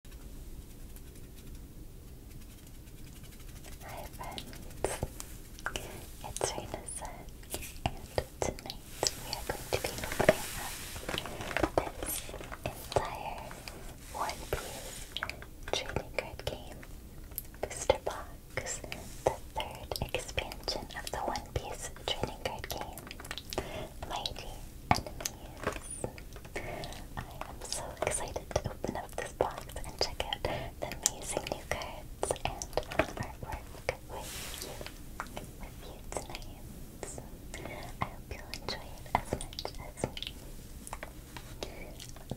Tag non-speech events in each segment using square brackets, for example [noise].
Hi friends, it's Rena and tonight we are going to be opening up this entire One Piece trading card game booster box, the third expansion of the One Piece trading card game, Mighty I am so excited to open up this box and check out the amazing new cards and artwork with you, with you tonight. I hope you'll enjoy it as much as me.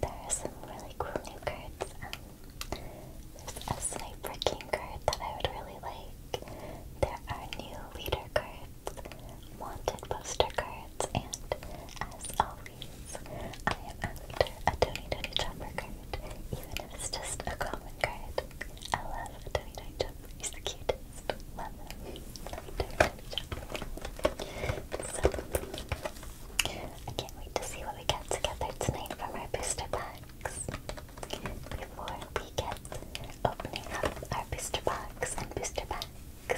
There are some really cool new cards. Um, there's a Sniper King card that I would really like. There are new leader cards wanted poster cards, and as always, I am after a Tony Tony Chopper card, even if it's just a common card. I love Tony Tony Chopper, he's the cutest. Love him. Love Tony Tony So, I can't wait to see what we get together tonight from our booster packs. Before we get opening up our booster box and booster pack. I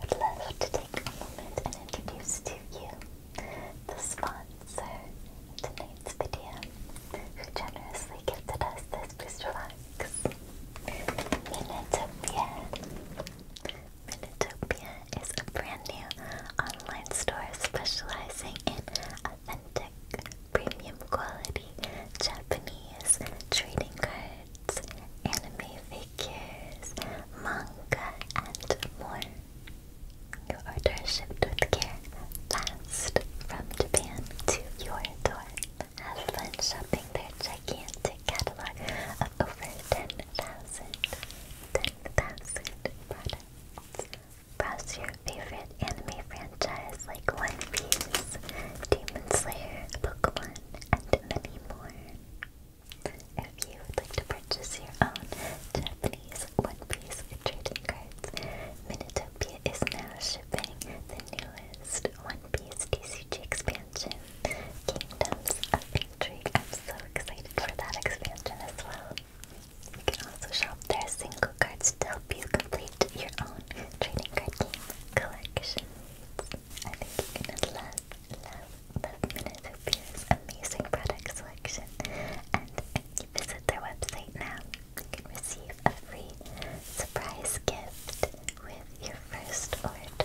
would love to take a moment and introduce to you the sponsor of tonight's video, who generously gifted us this booster box. Minutopia. Minutopia is a brand new online store specializing in authentic, premium quality Japanese trading cards anime figures, manga, and more. Your order shipped with care, fast, from Japan to your door. Have fun shopping their gigantic catalog of over 10,000 10, products. Browse your favorite anime franchise like One Piece, Demon Slayer, Pokemon, and many more. If you would like to purchase your own Japanese one-piece trading cards, Minitopia is now shipping the newest one-piece DCG expansion, Kingdoms of Intrigue. I'm so excited for that expansion as well. You can also shop their single cards to help you complete your own trading card game collection. I think you're gonna love, love, love Minotopia's amazing product selection. And if you visit their website now, you can receive a free surprise gift with your first order. Thank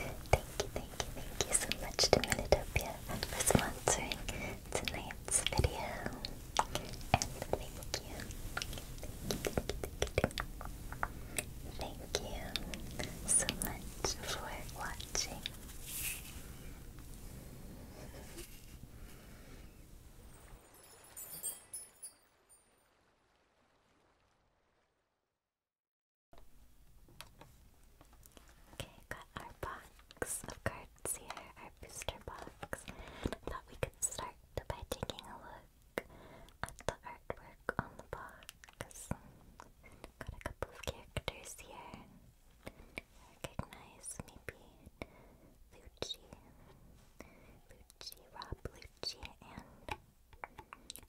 you, thank you, thank you so much to Minotopia for sponsoring tonight's video. And thank you. Thank you so much for watching. Okay, got our box of cards here, our booster box. thought we could start by taking a look at the artwork on the box. Got a couple of characters here. Recognize maybe Lucci, Lucci, Rob Lucci, and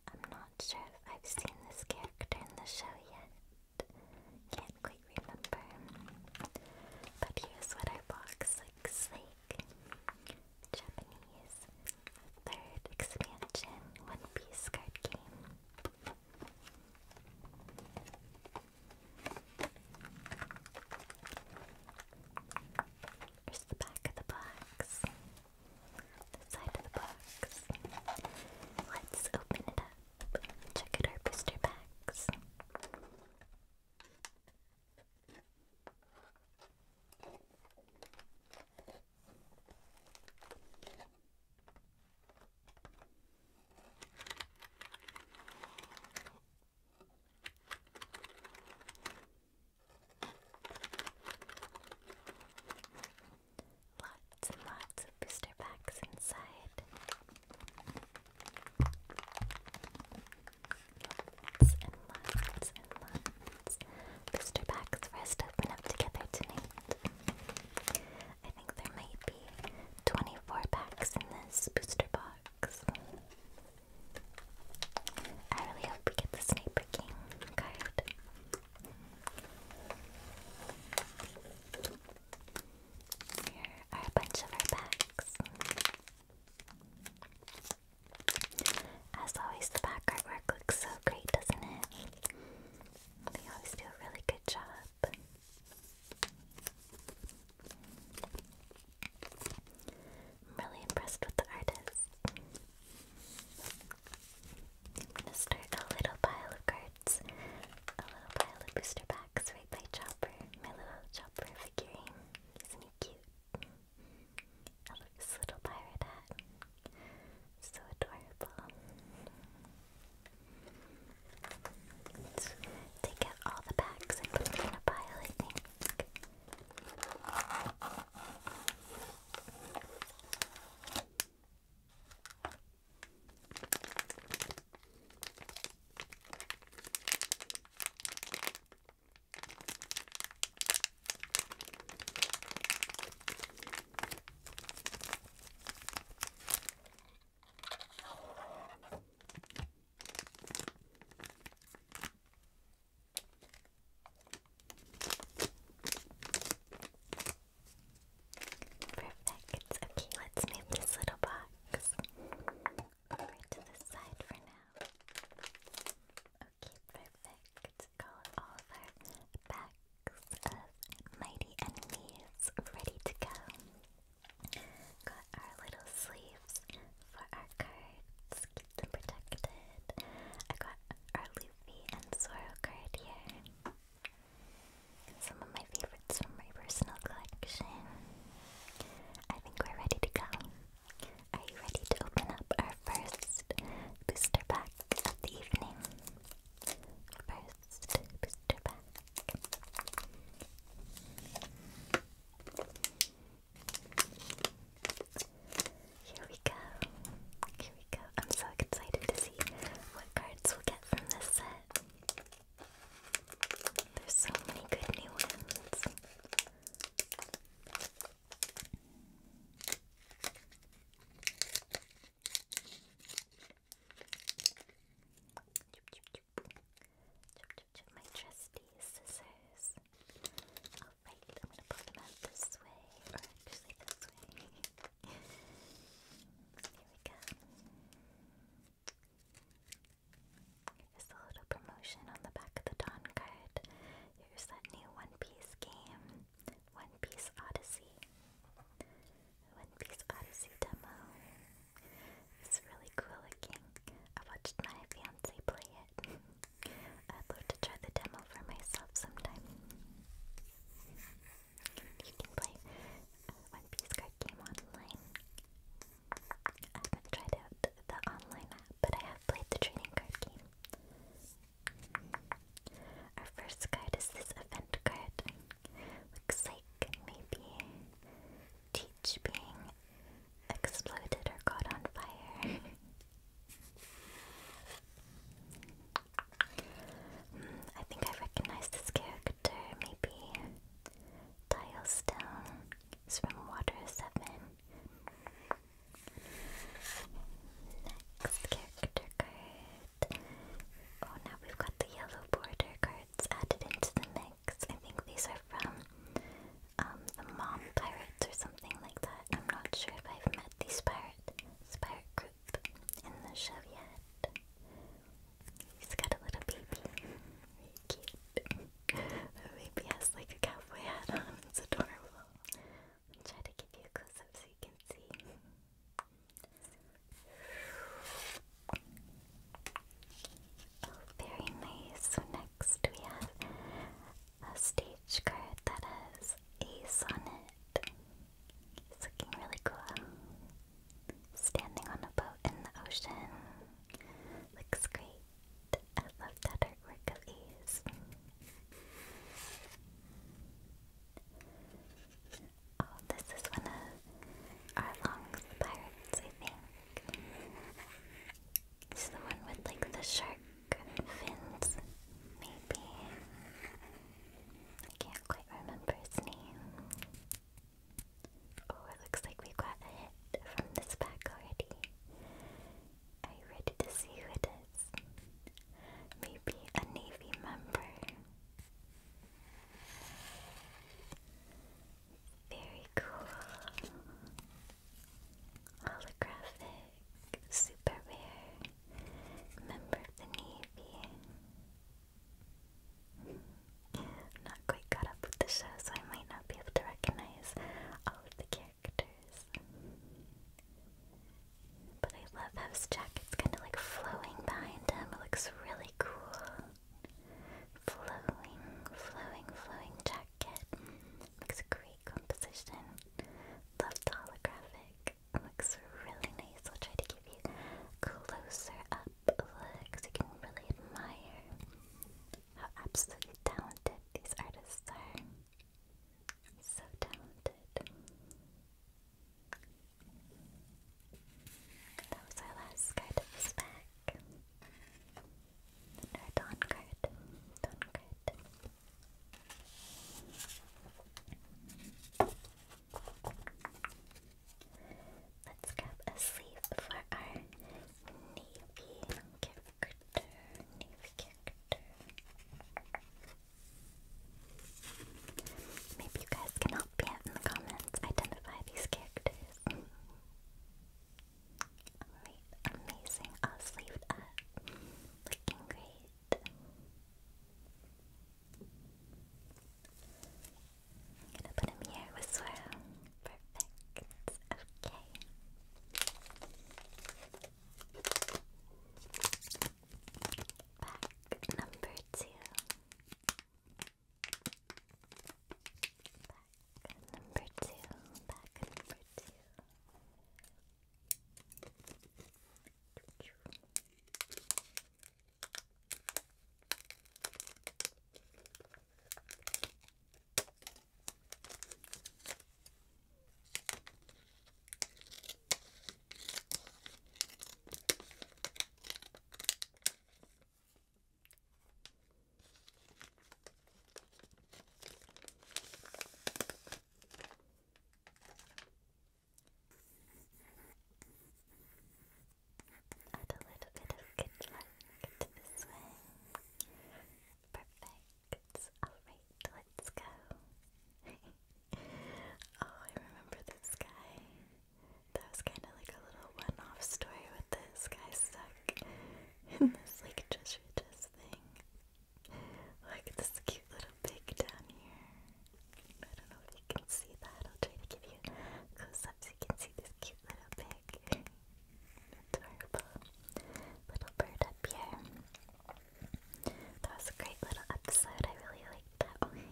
I'm not sure if I've seen this character in the show yet. Can't quite remember. But here's what our box looks like. Japanese third expansion One Piece card game. Here's the back of the box. The side of the box. Let's open it up. Check out our booster packs. Lots and lots of booster packs inside. Lots and lots and lots friends. Booster packs for us open up together tonight. I think there might be 24 packs in this booster box. I really hope we get the Sniper King card. Here are a bunch of our packs. As always, the background work looks so great, doesn't it? They always do a really good job. I'm really impressed with the artist. I'm gonna start a little pile of cards, a little pile of booster packs right by Chopper, my little Chopper figurine. Isn't he cute? I love this little pirate hat. So adorable. take out all the bags and put them in a pile, I think. Perfect. Okay, let's move this little box over to the side for now. Okay, perfect. Let's go over packs of mighty enemies ready to go. Got our little sleeves for our cards, keep them protected. I got our Luffy and Zoro card here. Some of my favorites from my personal collection. I think we're ready to go. Are you ready to open up our first booster pack of the evening? First booster pack. Here we go. Here we go. I'm so excited to see what cards we'll get from this set. There's so many good new ones. Chup, chup, chup. Chup, chup, chup. My trusty scissors. Oh, Alright, I'm gonna pull them out this way, or actually this way. [laughs] Here we go. Here's the little promotion on the back of the Dawn card. Here's that new One Piece game. One Piece Odyssey. One Piece Odyssey demo. It's really cool looking. I watched my fiance play it. [laughs] I'd love to try the demo for myself sometime. You can play uh, One Piece card game online. I haven't tried out the online app, but I have played the trading card game. Our first card is this event card. Looks like maybe Teach being exploded or caught on fire. [laughs] Hmm, I think I recognize this character. Maybe Tilestone is from Water 7. Next character card. Oh, now we've got the yellow border cards added into the mix. I think these are from um, the Mom Pirates or something like that. I'm not sure if I've met these pirate, pirate group in the show yet. He's got a little baby. Really cute. the [laughs] baby like a cowboy hat on. It's adorable. I'll try to give you a close up so you can see. Oh, very nice. So next we have a stage card that has Ace on It's looking really cool. Standing on a boat in the ocean. Looks great. I love that artwork of Ace. Oh, this is one of our long's I think. It's the one with like the shark fins, maybe. I can't quite remember his name. Oh, it looks like we got a hit from this pack already. Are you ready to see who it is? Maybe a Navy member. Very cool. Holographic, super rare, member of the Navy. not quite caught up with the show, so I might not be able to recognize all the characters. But I love how his jacket's kind of like flowing behind him. It looks really cool. Flowing, flowing, flowing jacket. Looks a great composition. Love the holographic. looks really nice. I'll try to give you closer up looks. You can really admire how absolutely talented these artists are. So talented. That was our last card of this pack. And our Dawn card. Dawn Let's grab a for our navy character. Navy character. Maybe you guys can help me out in the comments identify these characters. Alright, [laughs] amazing. All sleeved up. Looking great. I'm gonna put him here with Swirl. Perfect. Okay. Pack number two. Pack number two. Pack number two. Pack Add a little bit of good luck to this one. Perfect alright, let's go. [laughs] oh, I remember this guy. That was kind of like a little one off story with this guy stuck in this like treasure chest thing. Look this cute little pig down here. I don't know if you can see that. I'll try to give you a close up so you can see this cute little pig. [laughs] Adorable little bird up here. That was a great little episode. I really liked that one.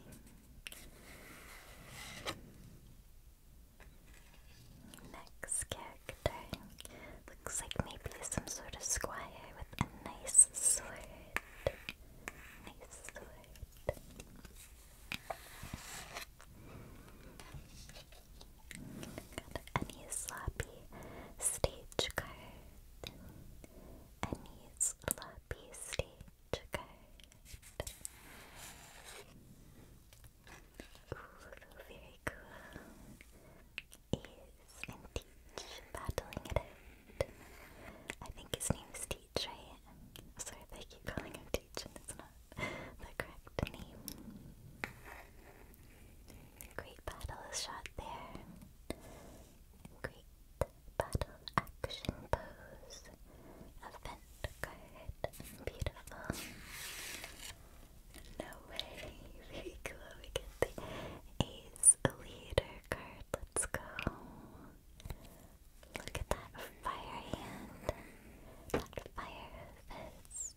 [laughs] Next character looks like maybe some sort of squire with a nice sword. Nice sword. Got any sloppy stage card, a nice floppy stage Ooh, very cool. Is and Teach battling it out. I think his name is Teach, right? sorry if keep calling him Teach and it's not the correct name. Great battle is shot there. Great battle action pose. Event card. Beautiful. No way. Very [laughs] cool. We get the Ace Leader card. Let's go. Look at that fire hand. fire fist.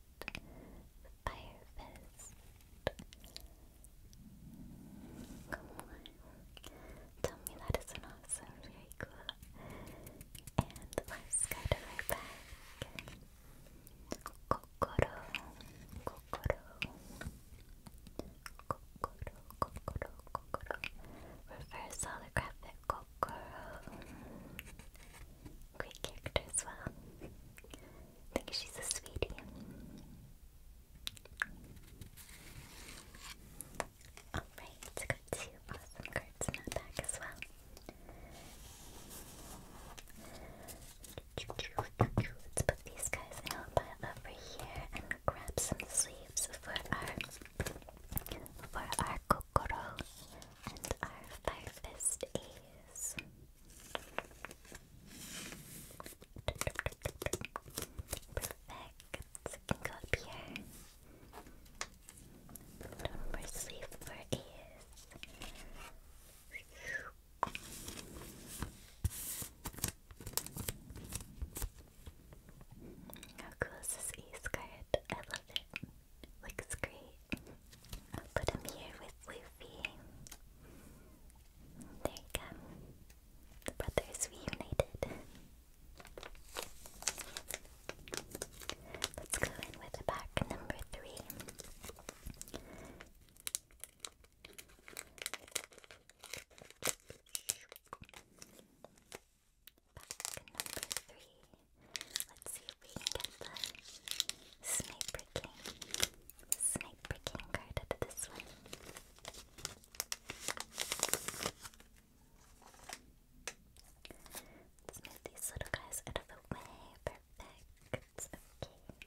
Fire fist. Come on. Tell me that is an awesome. Very And let's go Kokoro. Kokoro. Kokoro. Kokoro. Kokoro. Reverse holographic Kokoro. Great character as well. I think she's a sweetie. Alright, got two awesome cards in that pack as well. Let's put these guys in a pile over here and grab some sleeves for our for our kokoro and our fire fist Perfect. You can go up here. One more sleeve for ears. How cool is this e-skirt? I love it. Looks great. I'll put him here with Luffy. There you go. The brothers reunited. Let's go in with pack number three. Pack number three. Let's see if we can get the Sniper King. Sniper freaking card out this one. move these little guys out of the way. Perfect. Okay.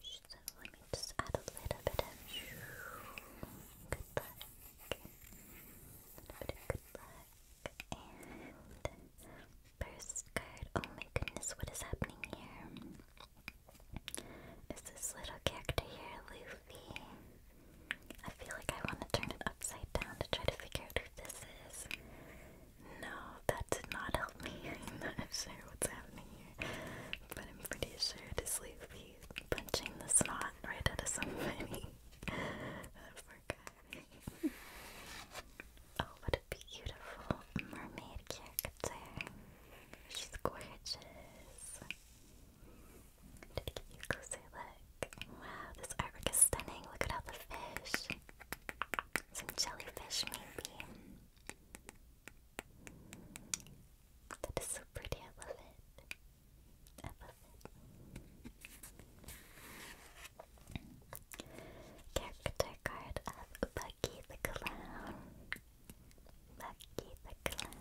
So let me just add a little bit of good luck. A little good luck. And Oh my goodness, what is happening here? Is this little character here Luffy? I feel like I want to turn it upside down to try to figure out who this is. No, that did not help me. [laughs] not sure what's happening here. But I'm pretty sure it is Luffy punching the snot right out of somebody. [laughs] [laughs] oh, what a beautiful mermaid character. She's gorgeous. Did you closer look? Wow, this artwork is stunning. Look at all the fish. Some jellyfish, maybe. That is so pretty. I love it. I love it. Character card of Buggy the Clown. Lucky the Clown.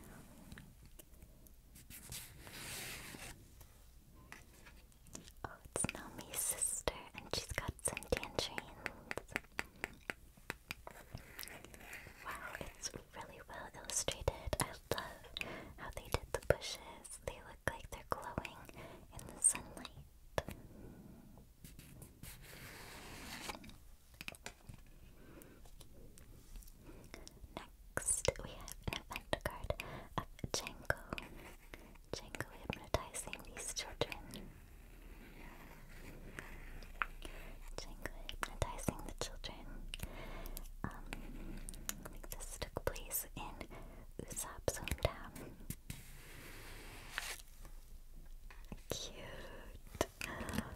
Oh, it's Nomi's sister, and she's got some tangerines. Wow, it's really well illustrated. I love how they did the bushes. They look like they're glowing in the sunlight. Next, we have an event card of Django. Django hypnotizing these children. Django hypnotizing the children. Um, this took place in Usopp's hometown. Cute.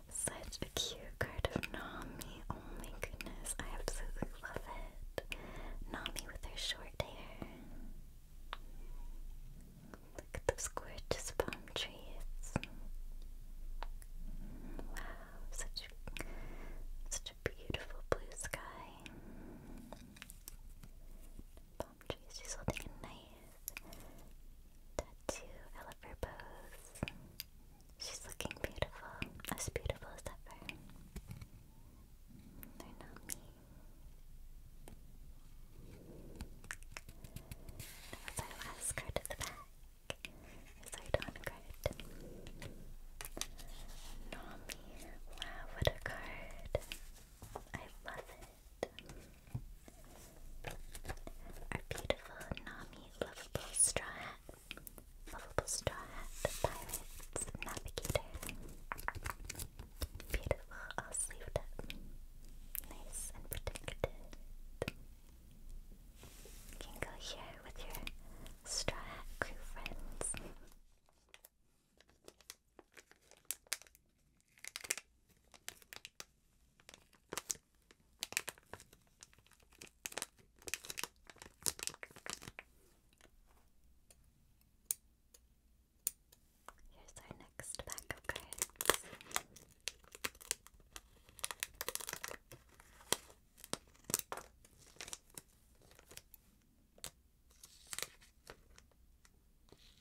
Such a cute card of Nami. Oh my goodness, I absolutely love it. Nami with her short hair. Look at those gorgeous palm trees. Wow, such such a beautiful blue sky. Palm trees, she's holding a knife. Tattoo Elephant Pose. She's looking beautiful. As beautiful as ever. They're not me. last card at the back. It's our Dawn card. Nami. Wow, what a card. I love it. Our beautiful Nami lovable straw hat. Lovable straw hat, pirates, navigator. Beautiful, all sleeved up. Nice and protected. You can go here with your straw hat crew friends. Here's our next pack of cards.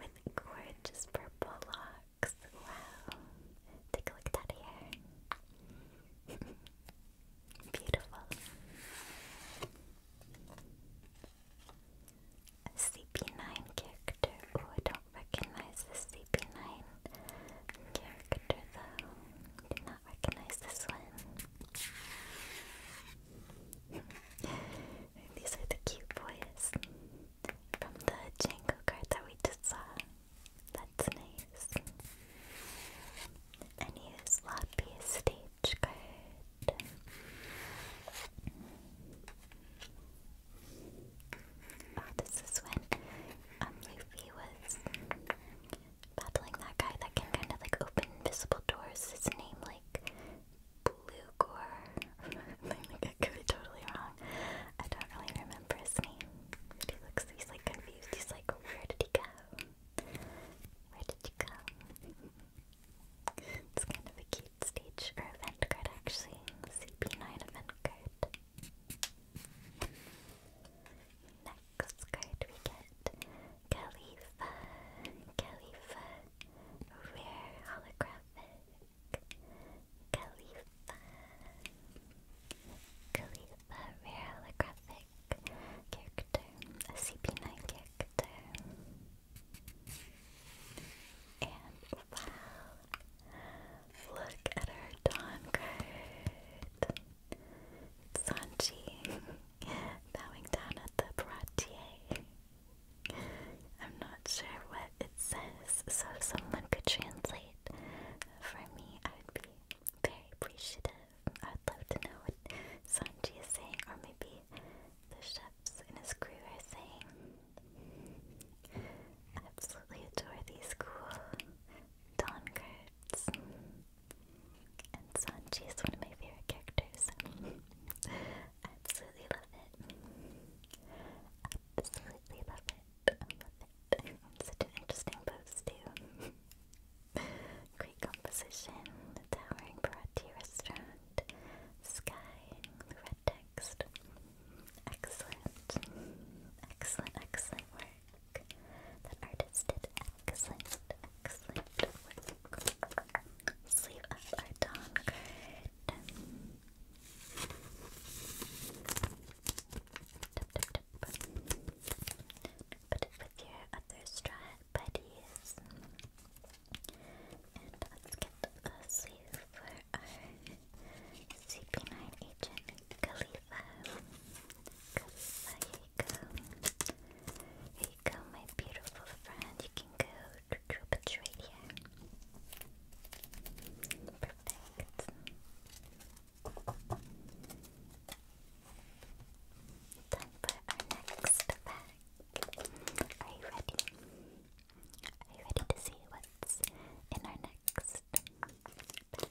with gorgeous purple locks. Wow. Take a look at that hair. [laughs] Beautiful. CP9 character. Oh, I don't recognize this CP9 character though. Do not recognize this one. These are the cute boys from the Django card that we just saw. That's nice. A new sloppy stage card. Oh, this is when um, Luffy was battling that guy that can kind of like open invisible doors. His name like Blugor. [laughs] I could be totally wrong. I don't really remember his name. He looks he's like confused. He's like, where did he go? Where did you go? it's kind of a cute stage or event card actually. CP9 event card. Next card we get Khalifa, Khalifa, rare holographic. Khalifa, Khalifa, rare holographic character, a CP9 character. And wow, look at our Dawn card. [laughs] bowing down at the baratier. I'm not sure what it says, so someone could translate for me, I would be very appreciative. I'd love to know what Sanji is saying, or maybe the chefs and his crew are saying. I absolutely adore these cool Dawn cards. And Sanji is one of my favorite characters. [laughs] Absolutely love it. Absolutely love it. love it. Such an interesting pose too. [laughs] Great composition. towering Bharati restaurant. Sky. red text. Excellent. Excellent, excellent work. That artist did excellent, excellent Sleeve up our Dawn card. with your other straw buddies. And let's get a sleeve for our CP9 agent, Khalifa. Khalifa, here you you go, my beautiful friend. You can go drop it right here. Perfect. Time for our next pack. Are you ready? Are you ready to see what's in our next pack?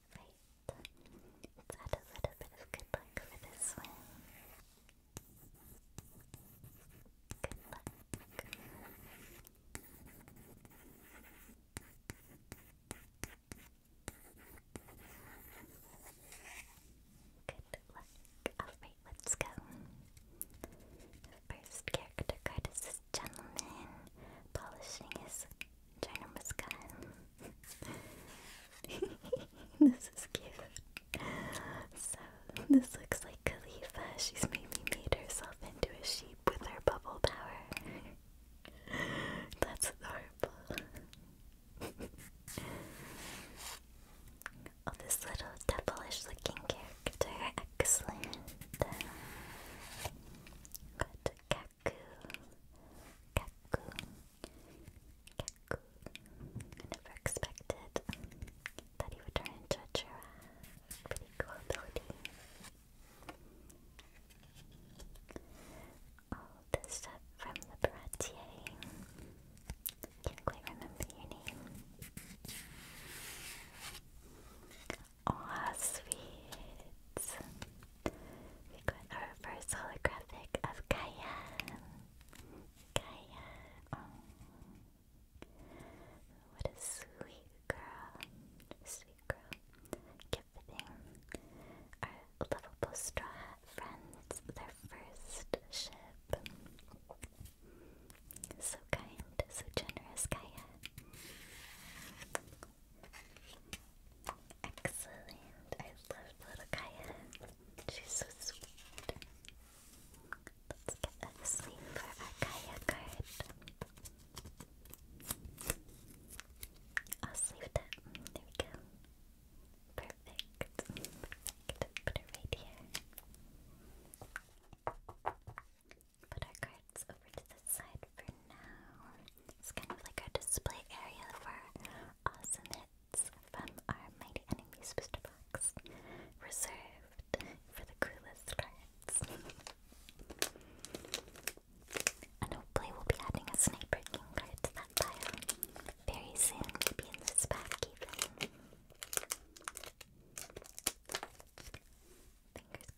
right. Let's add a little bit of good luck for this one. Good luck. Good luck. Alright, let's go. first character card is gentleman polishing his China [laughs] this is cute. So this looks like Khalifa. She's made herself into a sheep with her bubble power. That's adorable. oh, this little devilish looking character. Excellent. Got Kaku, Kaku, Kaku. I never expected that he would turn into a giraffe. Pretty cool ability. All this stuff from Le Baratier. Can't quite remember your name. Aw, sweet. We got our first holographic of Kaya. Kaya. Oh. What a sweet girl. Sweet girl. Give Our lovable straw friends, their first ship. So kind, so generous, Kaya. Excellent. I love little Kaya. She's so sweet. Let's get a sleeve for our Kaya card. i sleeve that. There we go. Perfect. Put it right here. Put our cards over to the side for now. It's kind of like a display area for awesome hits from our Mighty Enemies booster box, reserved for the coolest cards. [laughs] and hopefully we'll be adding a Sniper King card to that pile very soon, maybe in this pack even. Fingers crossed.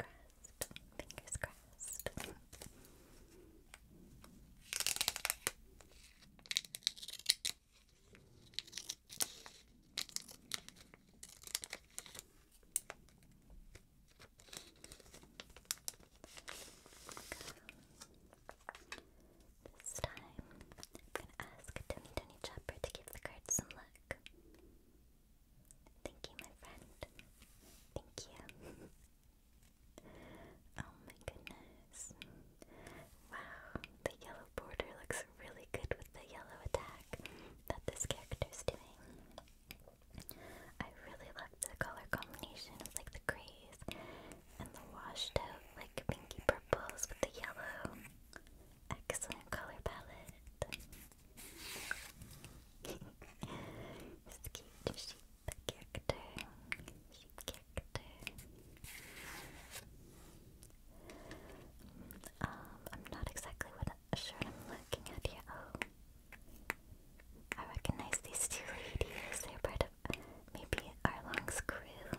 Fingers crossed. This time, I'm going to ask Tony Tony Chopper to give the card some luck. Thank you, my friend. Thank you. [laughs] Oh my goodness. Wow, the yellow border looks really good with the yellow attack that this character's doing. I really love the color combination of like the grays and the washed out like pinky purples with the yellow. Excellent color palette. [laughs] It's cute. She the character, sheep character. Um, I'm not exactly what I'm looking at here. Oh. I recognize these two ladies. They're part of maybe Arlong's crew.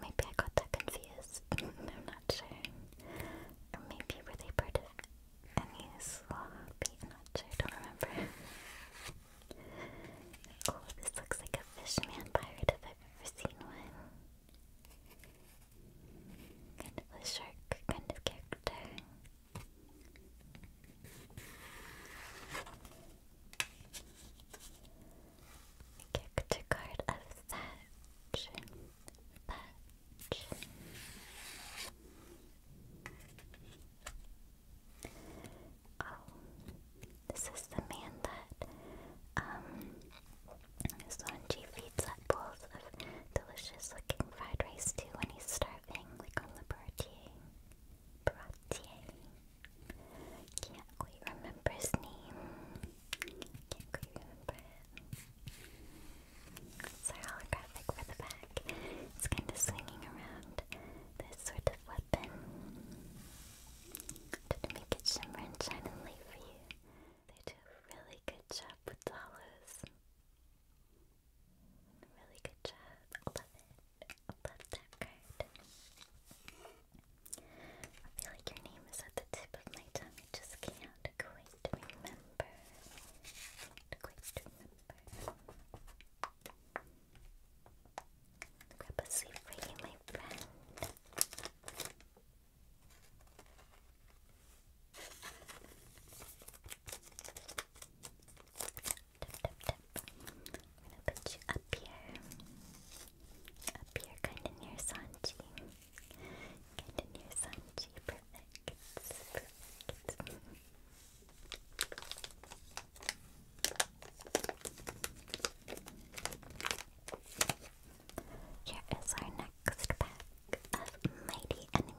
Maybe I got that confused. [laughs] I'm not sure. Or maybe were they part of and sloppy I don't remember. [laughs] oh, this looks like a fishman pirate if i ever seen one. Kind of a shark kind of character. character card of Thatch. Thatch. Oh, this is the man that, um, Sonji feeds up bowls of delicious looking fried rice to when he's starving, like on the Baratier. Baratier. Can't quite remember his name. Can't quite remember it's holographic for the back. It's kind of swinging around this sort of weapon to make it shimmer and shine and light for you. They do a really good job with the Really good job. I love it. I love that card. I feel like your name is at the tip of my tongue. I just can't quite remember. Can't quite remember. Grab a sleeve for my friend. I'm gonna put you up here. Up here, kinda near Sanji. Kinda near Sanji. Perfect. Here is our next pack of mighty enemies.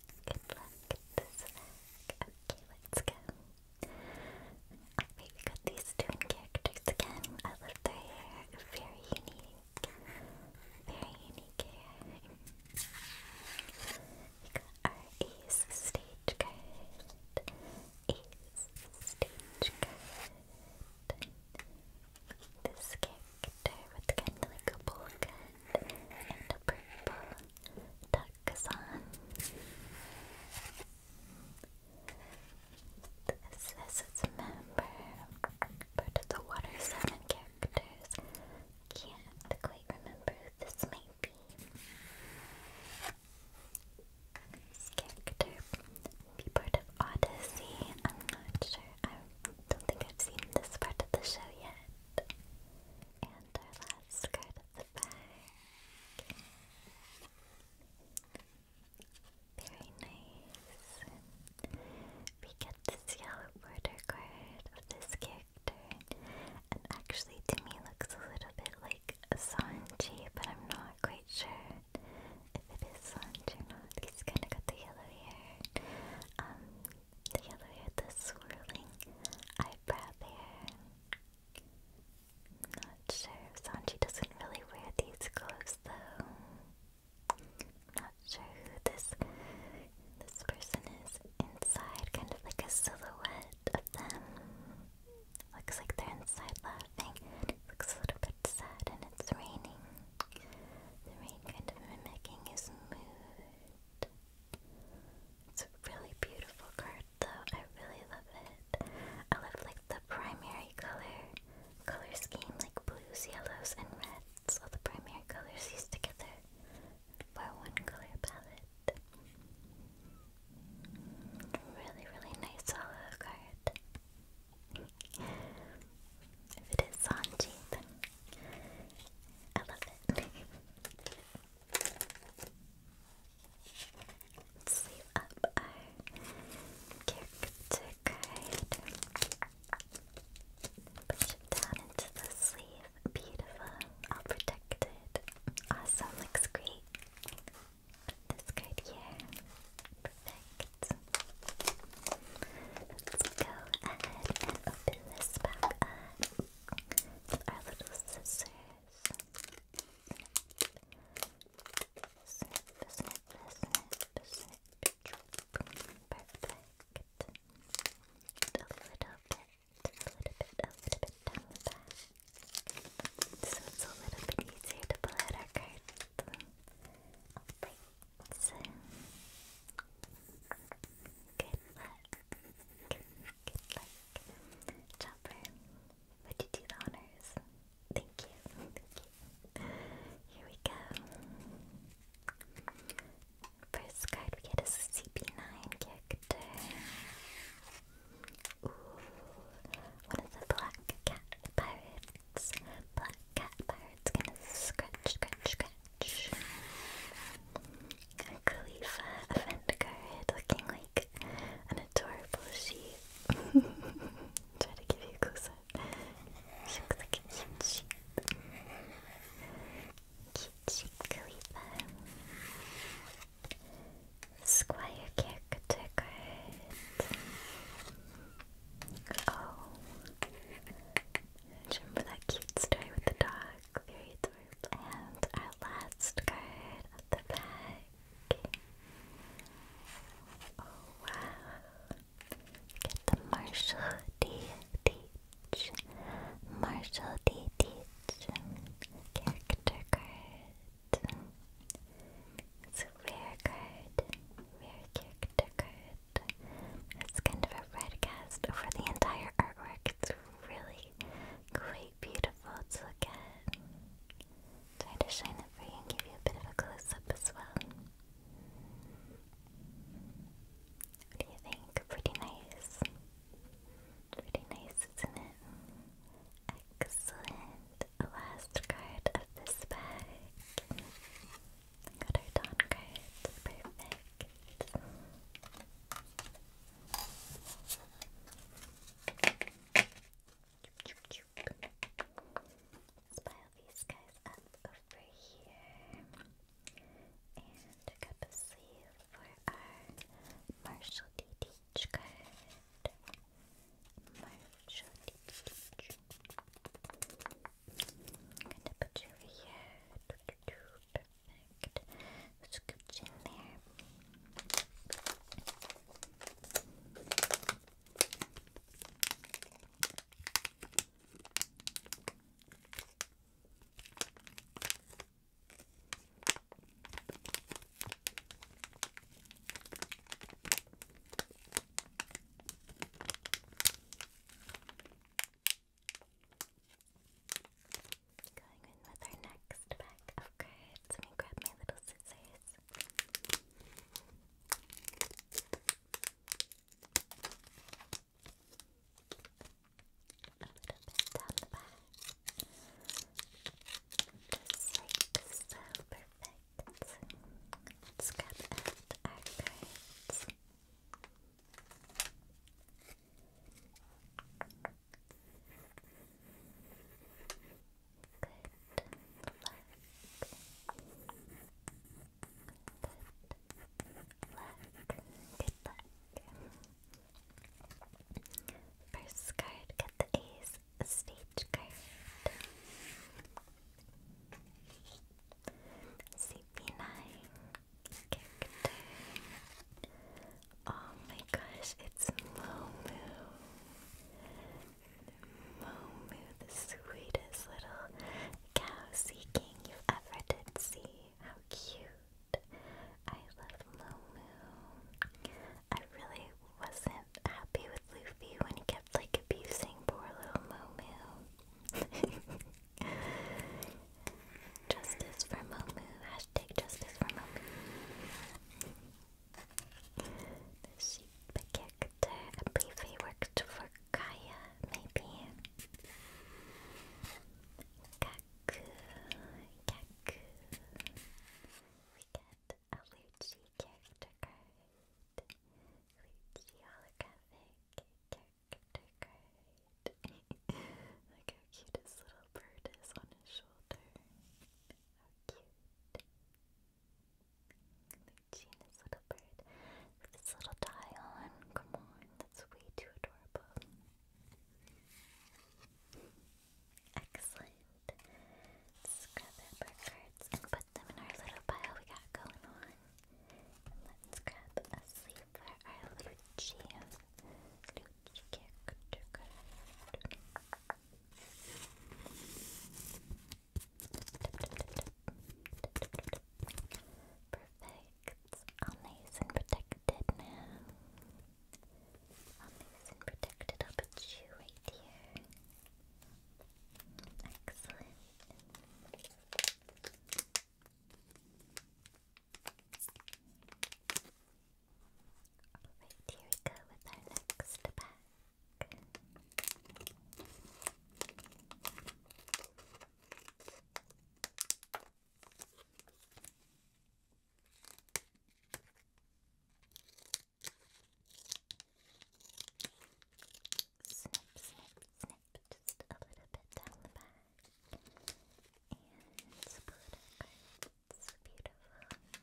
Good luck, Okay, let's go. Alright, we these two characters again. I love their Very unique. Very unique hair. We got our Ace This character with kind of like a polka and a purple tuxon. This is its member, part of the Water Seven characters. Can't quite remember this might be. character be part of Odyssey. I'm not sure. I don't think I've seen this part of the show yet. And our last card the bag. Very nice. We get this yellow border card of this character. And actually to me looks a little bit like Sanji, but I'm not quite sure if it is Sanji or not. He's kinda got the yellow hair. Um Together with the swirling eyebrow there. Not sure if Sanji doesn't really wear these clothes though. I'm not sure who this this person is inside, kind of like a silhouette of them. Looks like they're inside laughing. It looks a little bit sad and it's raining. The rain kind of mimicking his mood. It's a really beautiful card though. I really love it. I love like the primary color color scheme, like blues, yellows, and reds. All the primary colors used together for one color palette. Really, really nice hollow card. if it is Sanji, I love it. [laughs] Let's save up our character Push it down into the sleeve. Beautiful. All protected. Awesome. Looks great. this card here. Perfect. Let's go ahead and open this back with our little scissors. a little bit, a little bit, a little bit So it's a little bit easier to pull out our cards. Alright, good luck like Chopper. Would you do the honors? Thank you. Thank you. Here we go. First card we get is a CP9 character. Ooh, one of the black cat pirates. Black cat pirates gonna scratch, scratch, scratch. Khalifa a friend card looking like an adorable sheep. [laughs] Try to give you a close looks like a cute sheep. Cute sheep Khalifa. Squire caricature card. Oh. Do you that cute story with the dog? Very and our last card at the back. Oh wow. Get the Marshall D. Teach. Marshall D. Teach. Character card. It's a rare card. character card. It's kind of a red cast over the entire artwork. It's really quite beautiful to look at. Try to shine it for you and give you a bit of a close up as well. What do you think? Pretty nice. Pretty nice, isn't it? Excellent. Last card of this pack. Got our Dawn card. Perfect let pile these guys up over here. And pick up a for our Marshall D. Teach card. Marshall D. am gonna put you over here. Perfect. Scooch in there. Going in with our next pack of cards. Let me grab my little scissors. A little bit down the back. Just like so perfect. Let's grab out our cards. Good luck. First card, get the A's stage card. CP9, character. Oh my gosh, it's Momu. Momu, the sweetest little cow seeking you ever did see. How cute. I love Momu. I really wasn't happy with Luffy when he kept like abusing poor little Momu. [laughs] Justice for Momu, to take justice from him. The sheep character, a worked for Kaya, maybe. Kaku, Kaku. We get a Luchi character card. holographic character Look how cute his little bird is on his shoulder. How cute. Lucina's little bird with his little tie on. Come on, that's way too adorable. Excellent. Let's grab up our cards and put them in our little pile we got going on. let's grab a sleeve for Perfect. All nice and protected now. All nice and protected. I'll you right here. Excellent. Alright, here we go with our next pack. Snip, snip, snip, just a little bit down the back. And Spooder cards. Beautiful. Kindly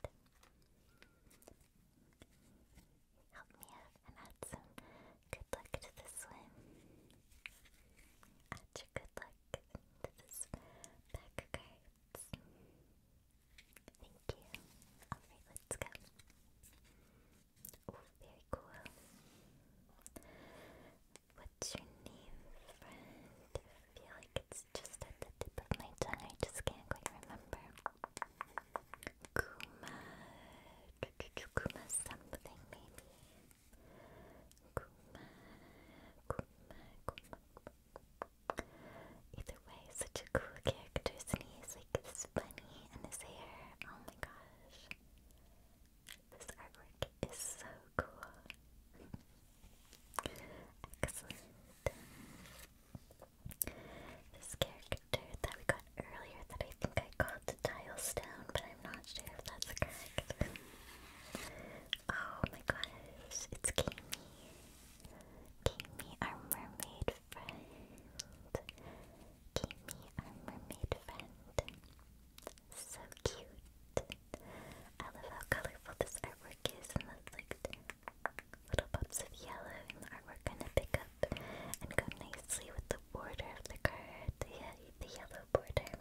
friend. Help me out and add some good luck to this one. Add your good luck to this pack of Thank you. Alright, let's go. Oh, very cool. What's your name, I feel like it's just at the tip of my tongue. I just can't quite remember. Kuma. Kuma something, maybe. Kuma. Kuma. Kuma. Either way, such a cool character, isn't he? like this and his hair. Oh my gosh. This artwork is so cool. Excellent. This character that we got earlier that I think I called the tile but I'm not sure if that's correct. oh my gosh, it's Kami. Kami, our mermaid friend. Kami, our mermaid friend. So cute. I love how colorful this artwork is and those like little pops of yellow in the artwork kind of pick up and go nicely with the border of the card, the yellow border.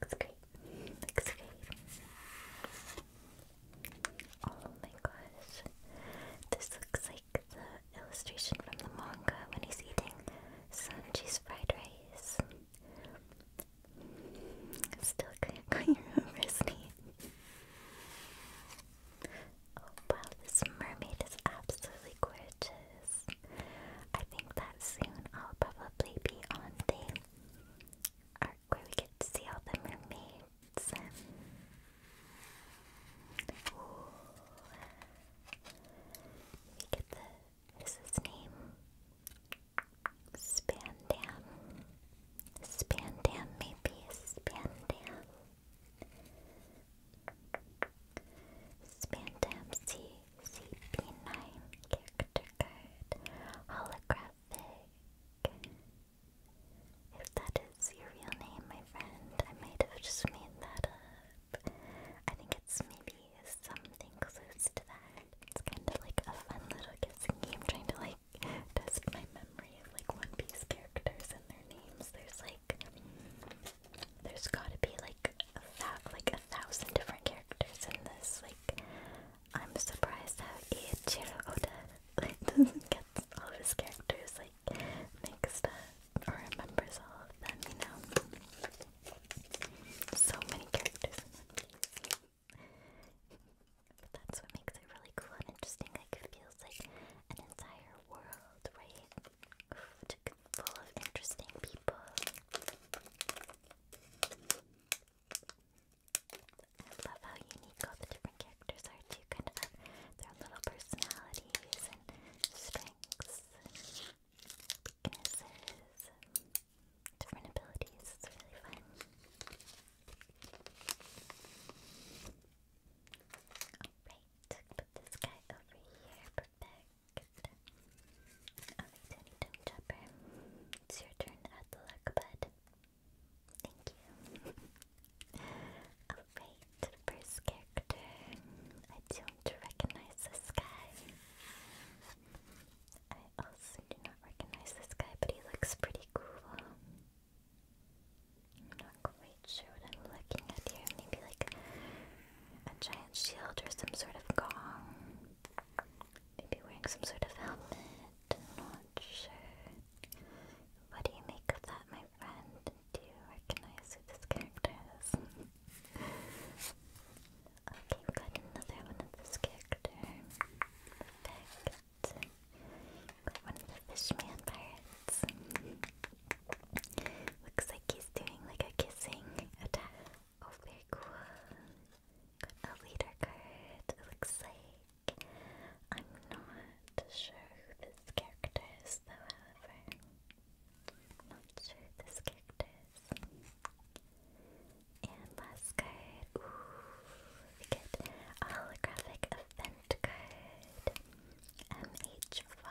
Looks great. Looks great. Oh my gosh. This looks like the illustration from the manga when he's eating Sanji's fried rice face. Still can't quite remember Oh wow, this mermaid is absolutely gorgeous. I think that soon I'll probably be on the arc where we get to see all the mermaids. the is his name? Spandam. Spandam, maybe. Spandam. Spandam C 9 character card. Holographic. If that is your real name, my friend, I might have just made that up. I think it's maybe is something close to that. It's kind of like a fun little guessing game trying to like test my memory of like One Piece characters and their names. There's like there's gotta be like a like a thousand different characters in this. Like I'm surprised how Eiichiro Oda like [laughs] doesn't get all of his characters like mixed up or remembers all of them, you know. So many characters that's what makes it really cool and interesting. Like feels like an entire world, right? Full of interesting people. I love how unique all the different characters are too, kind of their little personalities and strengths different abilities. It's really fun. Alright, put this guy over here. Perfect. Alright, Tony Dome Chopper. It's your turn at the luck, bud. Thank you. Alright, first character. I do to recognize this guy. I also do not recognize this guy, but he looks pretty cool. am not quite sure what I'm looking at here. Maybe like a giant shield or some sort of gong. Maybe wearing some sort of helmet. I'm not sure. What do you make of that, my friend? Do you recognize who this character is? Okay, we got another one of this character. Perfect. Got the fishman pirates. Looks like he's doing like a kissing attack. Oh, very cool. Got a leader card, looks like. I'm not sure who this character is though, however. Not sure this character And last card, we get holographic event card. MH5.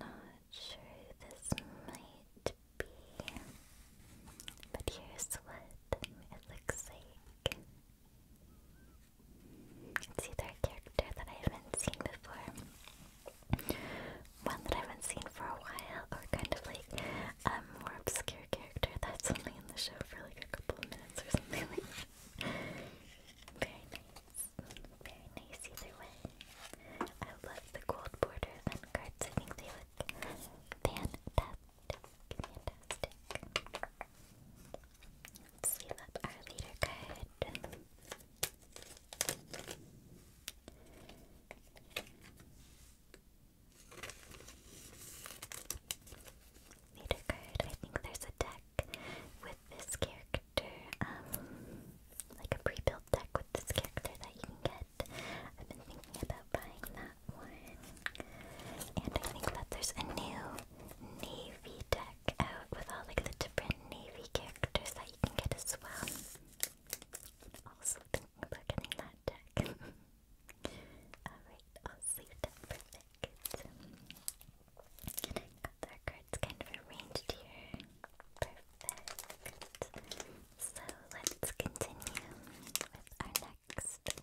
Not sure this might be. But here's what it looks like. It's either a character that I haven't seen before, one that I haven't seen for a while, or kind of like a more obscure character that's only in the show for like a couple of minutes or something like that. Very nice. Very nice either way. I love the gold border cards. I think they look fantastic. Fantastic. Let's our leader card. Need card. I think there's a deck with this character, um, like a pre-built deck with this character that you can get. I've been thinking about buying that one. And I think that there's a new navy deck out with all like the different navy characters that you can get as well. Also thinking about getting that deck. [laughs] Alright, I'll save got our cards kind of arranged here. Perfect. So let's continue with our next pack of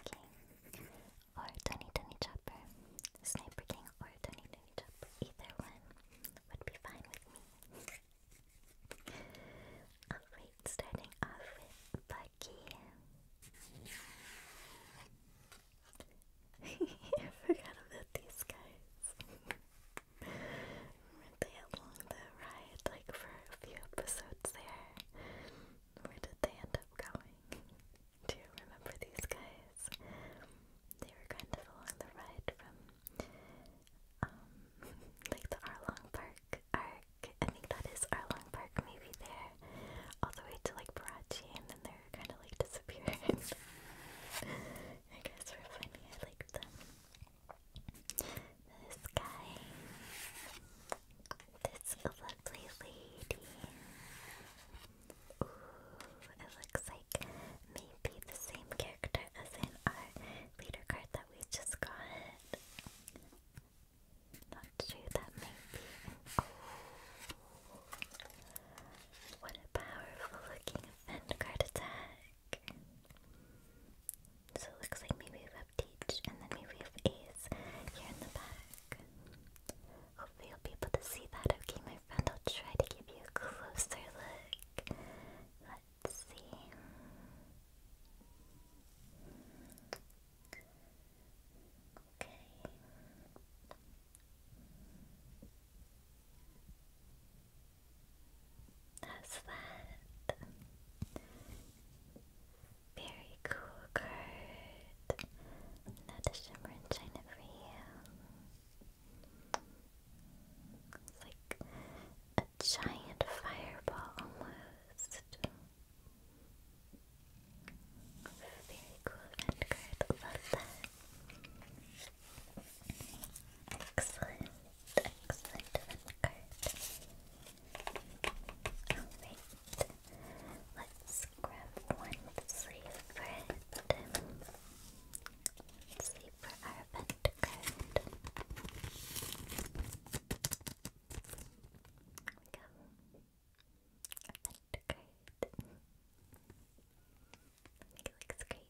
Okay. Or Tony Tony Chopper. Sniper King or Tony Tony Chopper. Either one would be fine with me. Alright, starting off with Bucky. [laughs] I forgot about these guys. were they along the ride like for a few episodes there? Where did they end up going? Do you remember these guys? They were kind of along the ride from, um, [laughs] like the Arlong Park arc. I think that is Arlong Park, maybe there, all the way to like Barachi, and then they're kind of like [laughs] disappearing. [laughs] I guess we're funny. I like them. This guy. This lovely lady. Ooh, it looks like maybe the same character as in our leader card that we just got. Not sure that might be. what a powerful looking Vanguard attack! So it looks like maybe have and then we have Ace here in the back. Hopefully you'll be able to see that. Okay, my friend, I'll try to give you a closer look. Let's see. Okay. How's that? Very cool card. Not shimmer and china for you. It's like a giant fireball almost. Very cool card. Love that. Excellent. Excellent card. Alright, let's grab one sleeve for it. Let's see for our event card. it looks great. What do you think?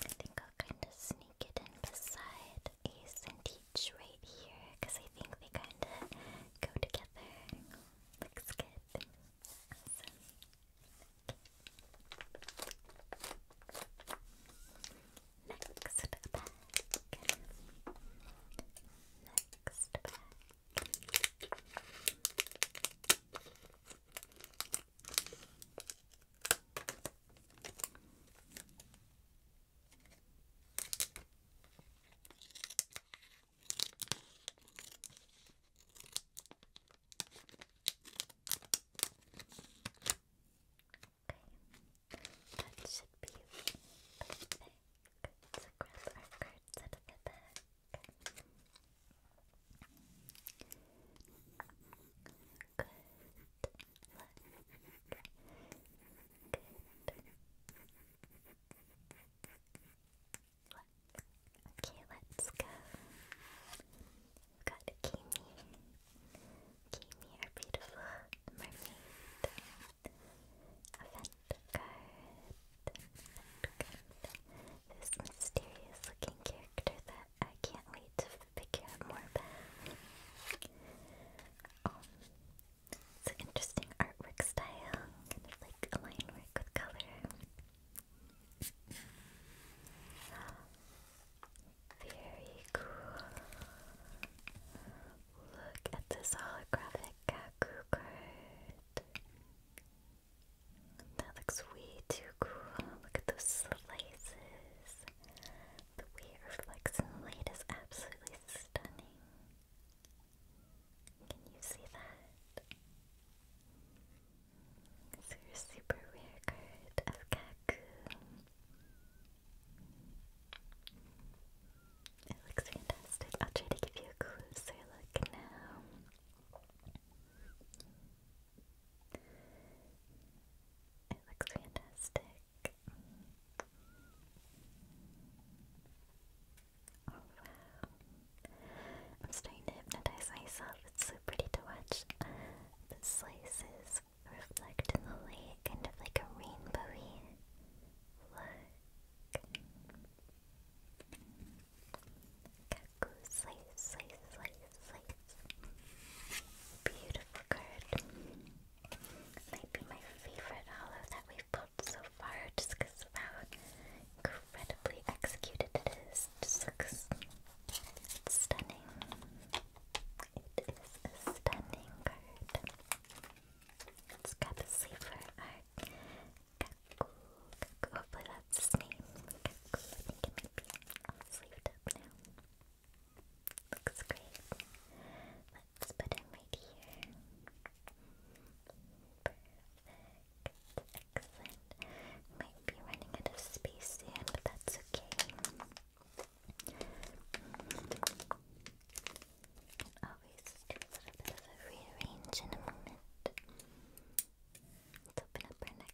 I think I'll kind of sneak it in beside Ace and Teach right here because I think they kind of go together. Looks good. Awesome. Next back. Next back. Okay, that should be perfect. Let's grab our cards out of the bag. Okay. Good luck. Okay, let's go. We've got Kimi. Kimi, our beautiful mermaid. Event card. Event This mysterious looking character that I can't wait to figure out more about. Um, it's an interesting artwork style, kind of like a line work with color. Very cool. Look at this holographic Gaku card. That looks way too cool. Look at those slices. The way it reflects in the light is absolutely stunning. Can you see that? This your super rare card of Kaku. It looks fantastic. I'll try to give you a closer look now. It looks fantastic. Oh wow. I'm starting to hypnotize myself. It's so pretty to watch. The slices reflect in the lake, kind of like a rainbowy look. Slice, slice, slice, slice. Beautiful card. Might be my favorite hollow that we've pulled so far just because of how incredibly executed it is. It just looks stunning. It is a stunning card. Let's grab a sleeve for our Kaku. Kaku, hopefully that's his name. Kaku, I think it might be all sleeved up now. Looks great. Let's put him right here. Perfect. Excellent. Might be running out of space soon, but that's okay. Can always do a little bit of a rearrange in a moment. Let's open up our next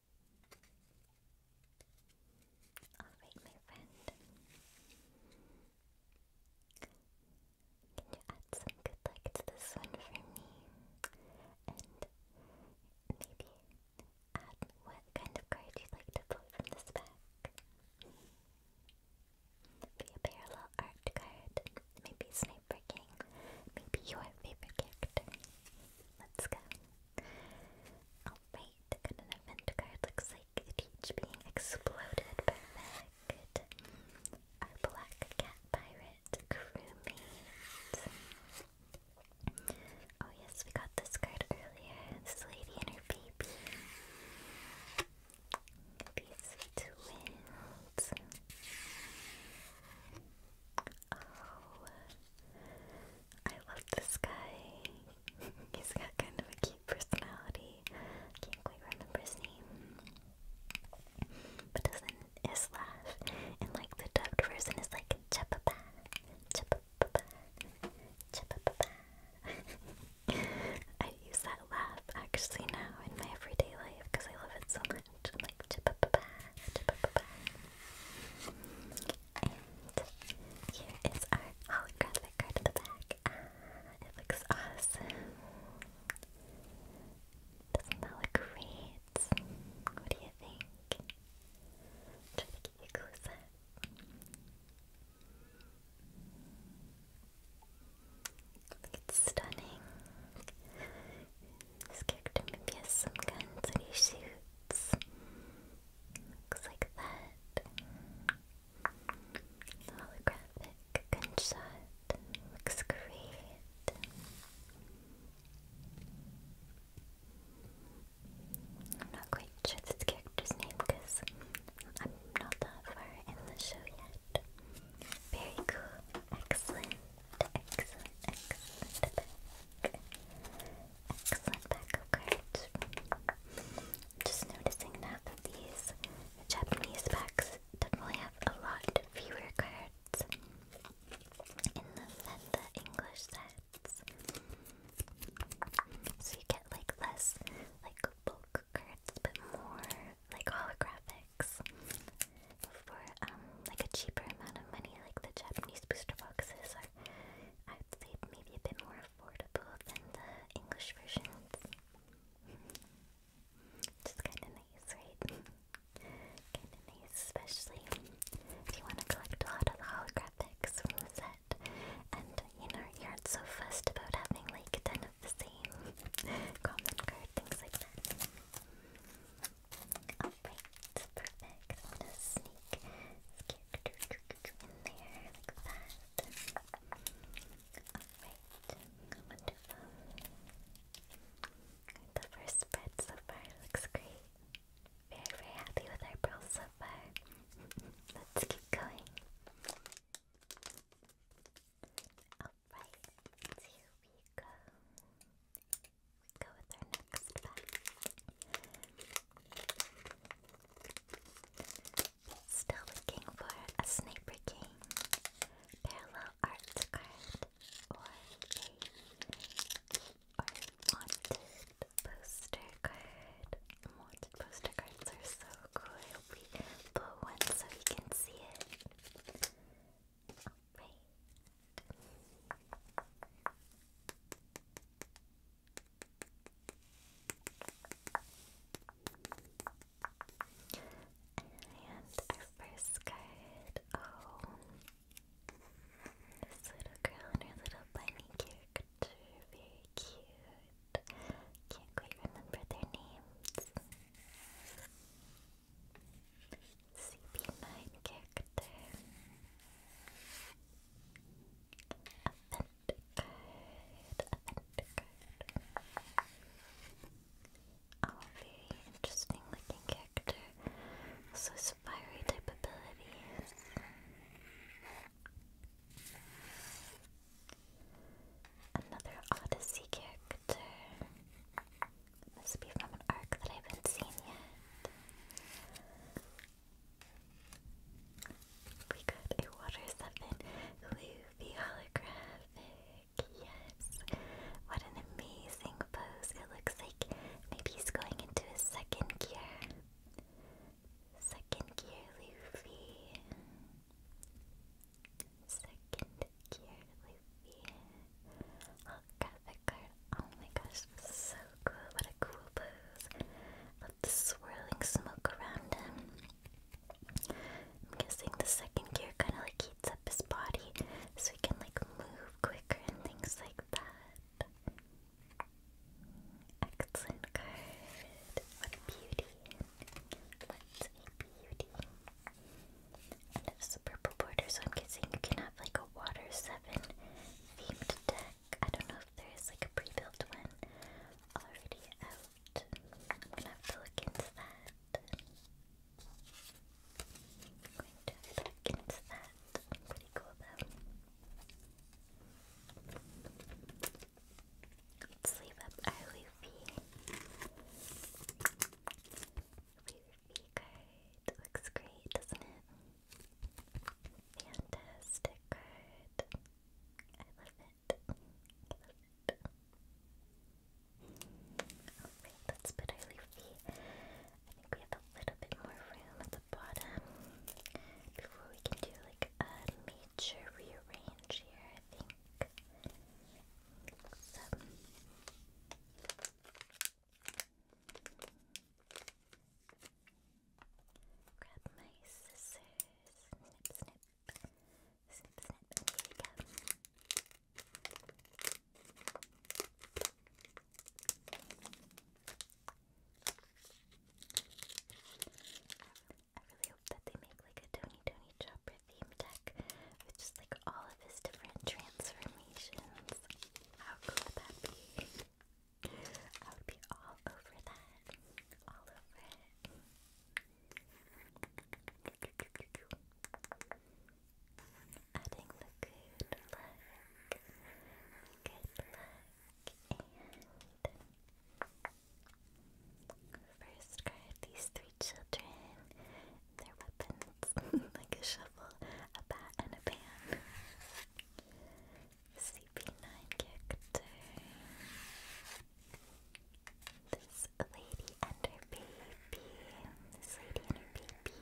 Alright, my friend. Can you add some good luck to this one for me? And maybe add what kind of card you'd like to pull from this pack. Maybe a parallel art card, maybe Sniper King, maybe your favorite character. Let's go. Alright, Got another mint card. Looks like Teach being exploded. by Our black cat pirate crewmate. Oh yes, we got this card earlier. This lady and her baby. These twins. Oh, I love this guy. He's got kind of a cute personality. Can't quite remember his name. But doesn't his laugh and like the dubbed version is like chapapa, chapapa, chapapa. [laughs] I use that laugh actually now in my everyday life because I love it so much. I'm like chapapa, chapapa. And here is our holographic card at the back. Ah, it looks awesome. Doesn't that look great? What do you think? Try to get you close up. it's stunning. This character maybe some guns that Looks like that. holographic gunshot looks I'm not quite sure this character's name because I'm not that far in the show yet. Very cool. Excellent. Excellent. Excellent. Excellent backup card. Just noticing that these Japanese packs definitely have a lot fewer cards in the than the English sets. So you get like less like bulk cards but more like holographics for um like a cheaper amount of money like the Japanese booster boxes are I'd say a bit more affordable than the English versions. Which kind of nice, right? [laughs] kind of nice, especially if you want to collect a lot of the holographics from the set. And, you know, you aren't so fussed about having like 10 of the same [laughs] common card, things like that. Alright, perfect. I'm gonna sneak go in there like Alright, wonderful. The first spread so far looks great. Very, very happy with our pearls so far. Let's keep going. Alright, here we go. We go with our next pack. Still looking for a Sniper King parallel art card or wanted poster card. Wanted poster cards are so cool. I hope we one so you can see it. Alright. And our first card, oh, this little girl and her little bunny character, very cute. Can't quite remember their names. CP9 character event code, event very interesting looking character. Also spiry type abilities. Another Odyssey character. Must be from an arc that I haven't seen yet. We got a water summon Luffy holographic. Yes. What an amazing pose. It looks like maybe he's going into his second gear. Second gear Luffy. Second gear Luffy. Holographic card. Oh my gosh, so cool. What a cool pose. Love the swirling smoke around him. I'm guessing the second gear kind of like heats up his body so he can like move quicker and things like that. Excellent card. What a beauty. What's a beauty. And it's a purple border, so I'm guessing you can have like a water seven themed deck. I don't know if there is like a pre-built one already out. I'm gonna have to look into that. I'm going to look into that. Pretty cool though. let up our Luffy. Luffy card. Looks great, doesn't it? Fantastic card. I love it. I let's put our leafy. I think we have a little bit more room at the bottom before we can do like a major rearrange here, I think. Grab my scissors. Snip, snip. Snip, snip. Here we go. I really hope that they make like a Tony Tony Chopper theme deck with just like all of his different transformations. How cool would that be? I would be all over that. All over it. Adding the good luck. Good luck. And first card, these three children. Their weapons. [laughs] like a shovel, a bat, and a pan. CP9 character. This lady and her baby. This lady and her baby.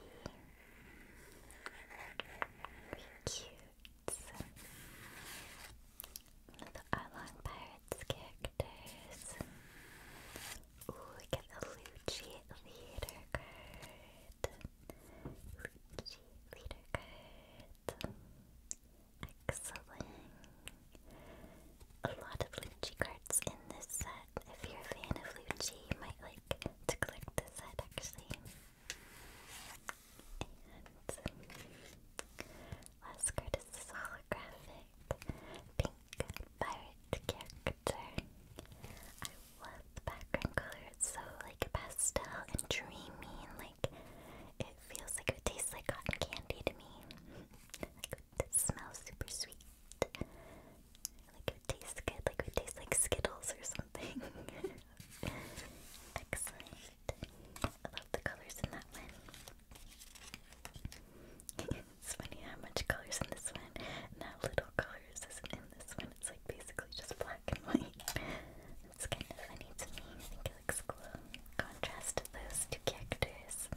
Very cute. the Arlong Pirates characters. Ooh, we get the Lucci leader card. Lucci leader card. Excellent. A lot of Luigi cards in this set. If you're a fan of Luigi, you might like to collect this set actually. last card is holographic pink pirate character. I love the background color. It's so like pastel and dreamy like it feels like it tastes like cotton candy to me. it smells super sweet. Like it tastes good. Like it tastes like Skittles or something. [laughs] Excellent. I love the colors in that one. [laughs] it's funny how much colors in this one and little colors isn't in this one. It's like basically just black and white. It's kind of funny to me. I think it looks cool. Contrast those two characters.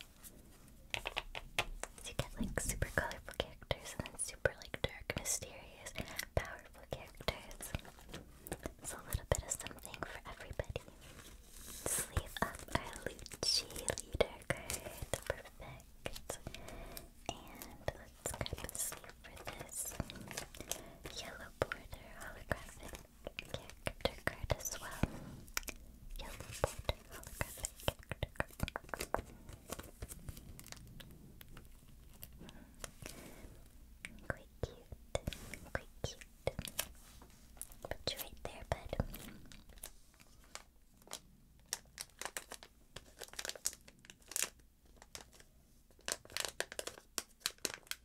you get like super colorful characters and then super like dark, mysterious, powerful characters. It's a little bit of something for everybody. Sleeve up our Luchi leader Perfect. And let's grab a sleeve for this. Yellow Porter holographic character as well. Hmm. Quite cute. Quite cute. Put you right there, bud.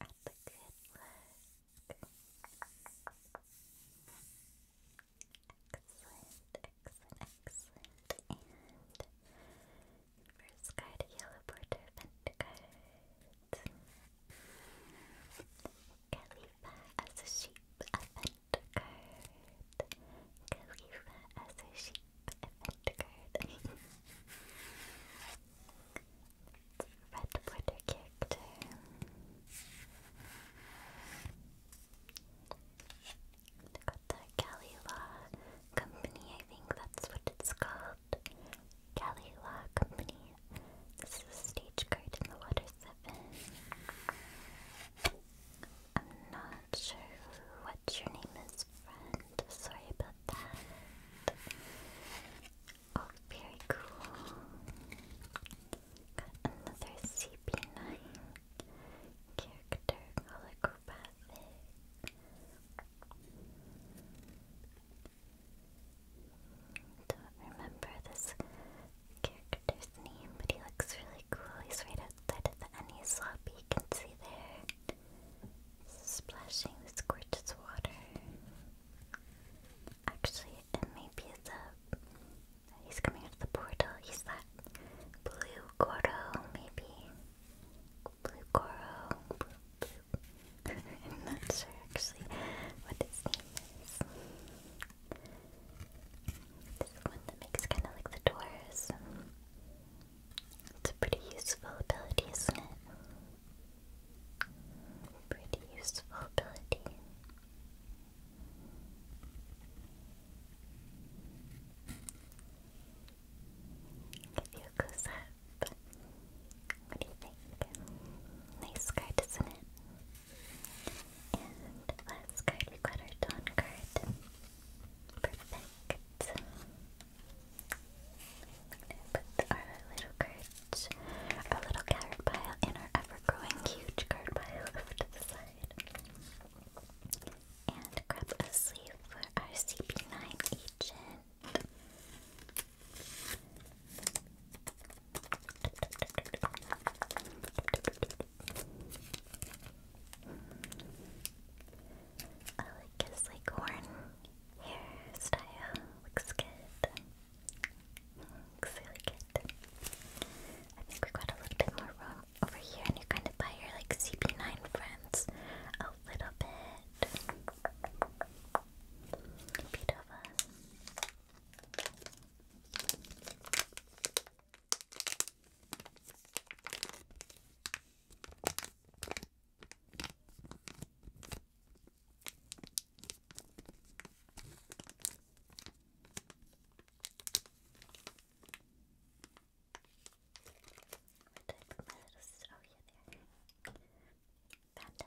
At the good look. Excellent, excellent, excellent. And first card, a border vent card. Khalifa as a sheep, card. Khalifa as her card. Red border Got the Cali Law Company, I think that's what it's called. Cali Law Company. This is stage card in the Water 7. I'm not sure what your name is, friend. Sorry about that. Oh, very cool. another CP9 character holographic. Don't remember this character's name, but he looks really cool. He's right outside of the Annie's lobby. You can see there. Splashing this gorgeous water. Actually, it maybe is a. He's coming out of the portal. He's that blue Goro, maybe. Blue Goro. Blue, blue. [laughs] not sure actually what his name is. This one that makes kind of like the doors. It's a pretty useful ability, isn't it? Pretty useful ability. Give you a close up. What do you think? Nice card, isn't it? And last card, we got our Dawn card. Perfect. i put our little cards, our little carrot pile, and our ever-growing huge card pile [laughs] to the side. And grab a sleeve for our CP9 agent. I like his like horn hairstyle. Looks good. Looks really good. I think we got a little bit more room over here, and you kind of buy your like CP9 friends a little bit. Beautiful. Oh yeah, there. Phantom.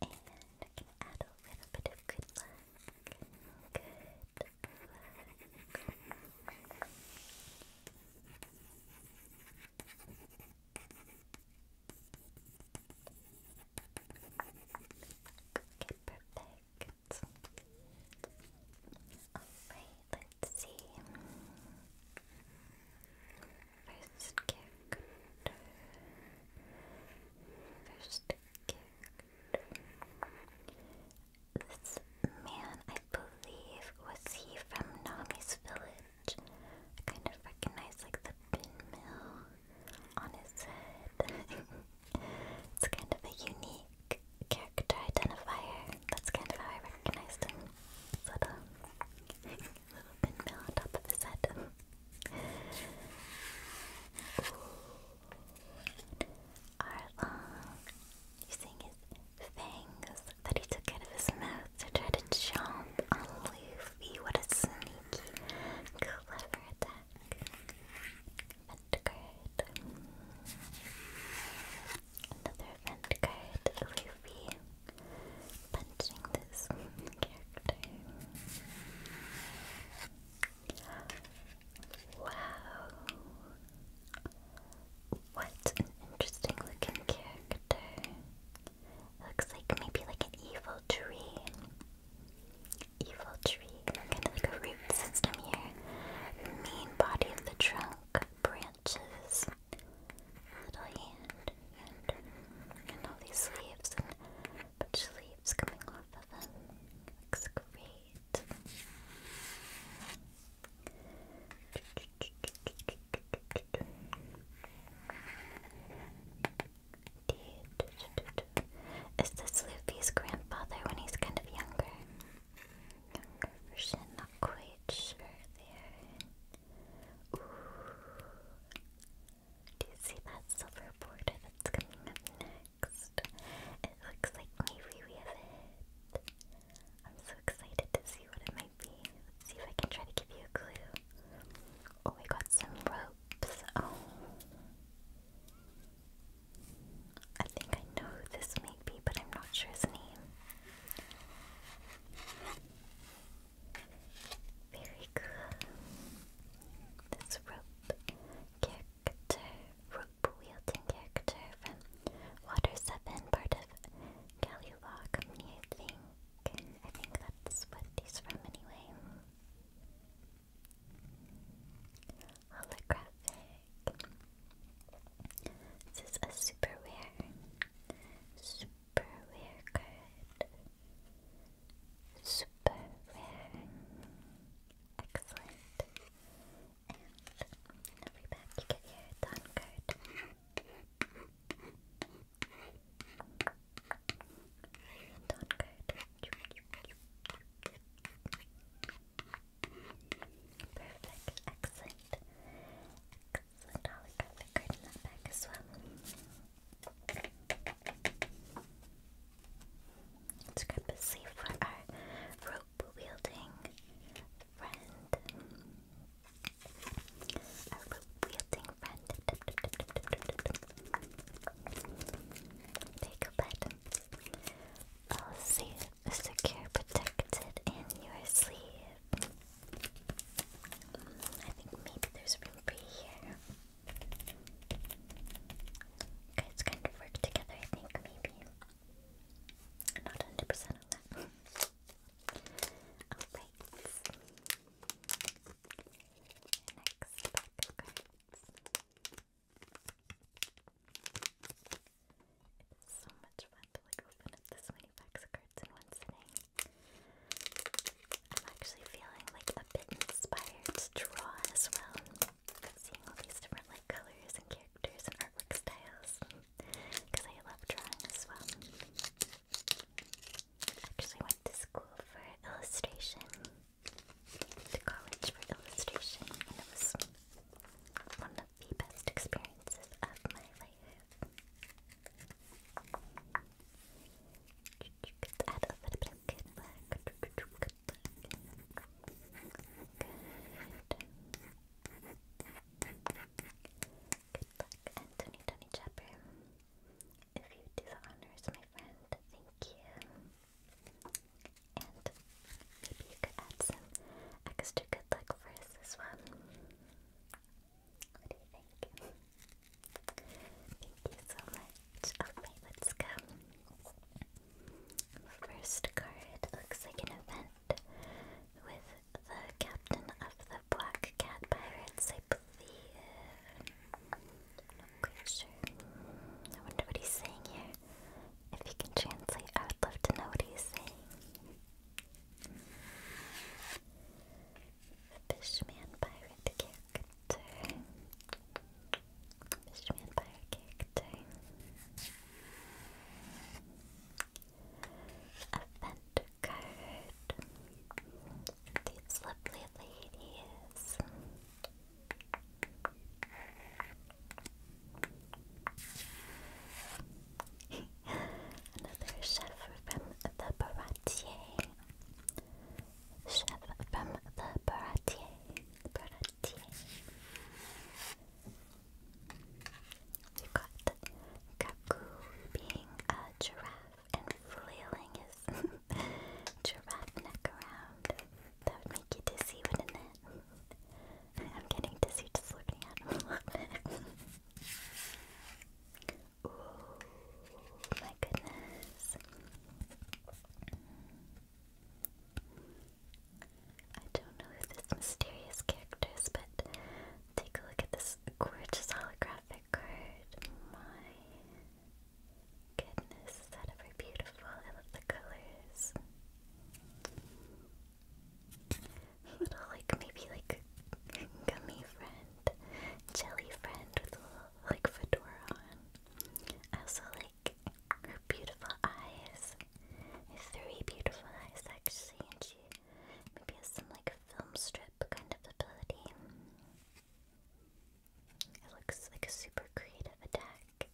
And I can add a little bit of good luck. Good luck. perfect. Alright, let's see. First character. First character. This man, I believe, was he from Nami's village? I kind of recognize like the pin mill on his head. [laughs] it's kind of a unique character identifier. That's kind of how I recognized him. Sort of. Uh, [laughs] little pinwheel on top of his head. Arlong, using his fangs that he took out of his mouth to try to chomp on Luffy. What a sneaky, clever attack. Event card. Another event card, Luffy punching this character. Wow. What an interesting looking character. looks like maybe like an evil tree. Evil tree. Kind like a root system here. Main body of the trunk, branches, little hand, and, all these leaves cabbage leaves coming off of them. Looks great. Is this Luffy's grandfather when he's kind of younger? not quite sure there. Do you see that silver border that's coming up next? It looks like maybe we have it. I'm so excited to see what it might be. Let's see if I can try to give you a clue. Oh, we got some ropes. Oh. I think I know who this may be, but I'm not sure his name. Very cool. This rope character, rope wielding character from Water 7, part of Galulaw I think. I think that's what he's from anyway. Holographic. This is a super rare, super rare card super Excellent. every pack you get your Dawn card. Dawn card. Perfect. Excellent. Excellent holographic card in that pack as well. Let's grab a sleeve for our rope wielding friend. Our rope wielding friend. Take a bed. All safe, secure, protected in your sleeve. I think maybe there's room for here. You guys kind of work together, I think, maybe. I'm not 100% on that. [laughs] Alright. Next pack so much fun to like open up this many packs of cards in one sitting. I'm actually feeling like a bit inspired to draw as well. Seeing all these different like colors and characters and artwork styles. Because I love drawing as well. actually went to school for illustration. To college for illustration. And it was one of the best experiences of my life. Good. luck. Good Anthony If you do the honors, my friend, thank you. And maybe you could add some extra good luck for us as well. What do you think? Thank you so much. Alright, let's go. First card looks like an event with the captain of the Black Cat Pirates, I i wonder what he's saying here. If he can translate, I would love to know what he's saying. Fishman pirate character. Fishman pirate character. Event card. These lovely ladies. [laughs] Another chef from the Baratier. Chef from the Baratier. Baratier. have got Kaku being a uh, giraffe and flailing his [laughs] giraffe neck around. That make you dizzy, wouldn't it? [laughs] I'm getting dizzy just looking at him [laughs] my goodness. I don't know who this mysterious character is, but take a look at this gorgeous holographic card. My goodness, is that ever beautiful? I love the colors. Little, like, maybe like gummy friend, jelly friend with a little, like, fedora on. I also like her beautiful eyes. Three beautiful eyes actually, and she maybe has some like film strip kind of ability. It looks like a super creative attack.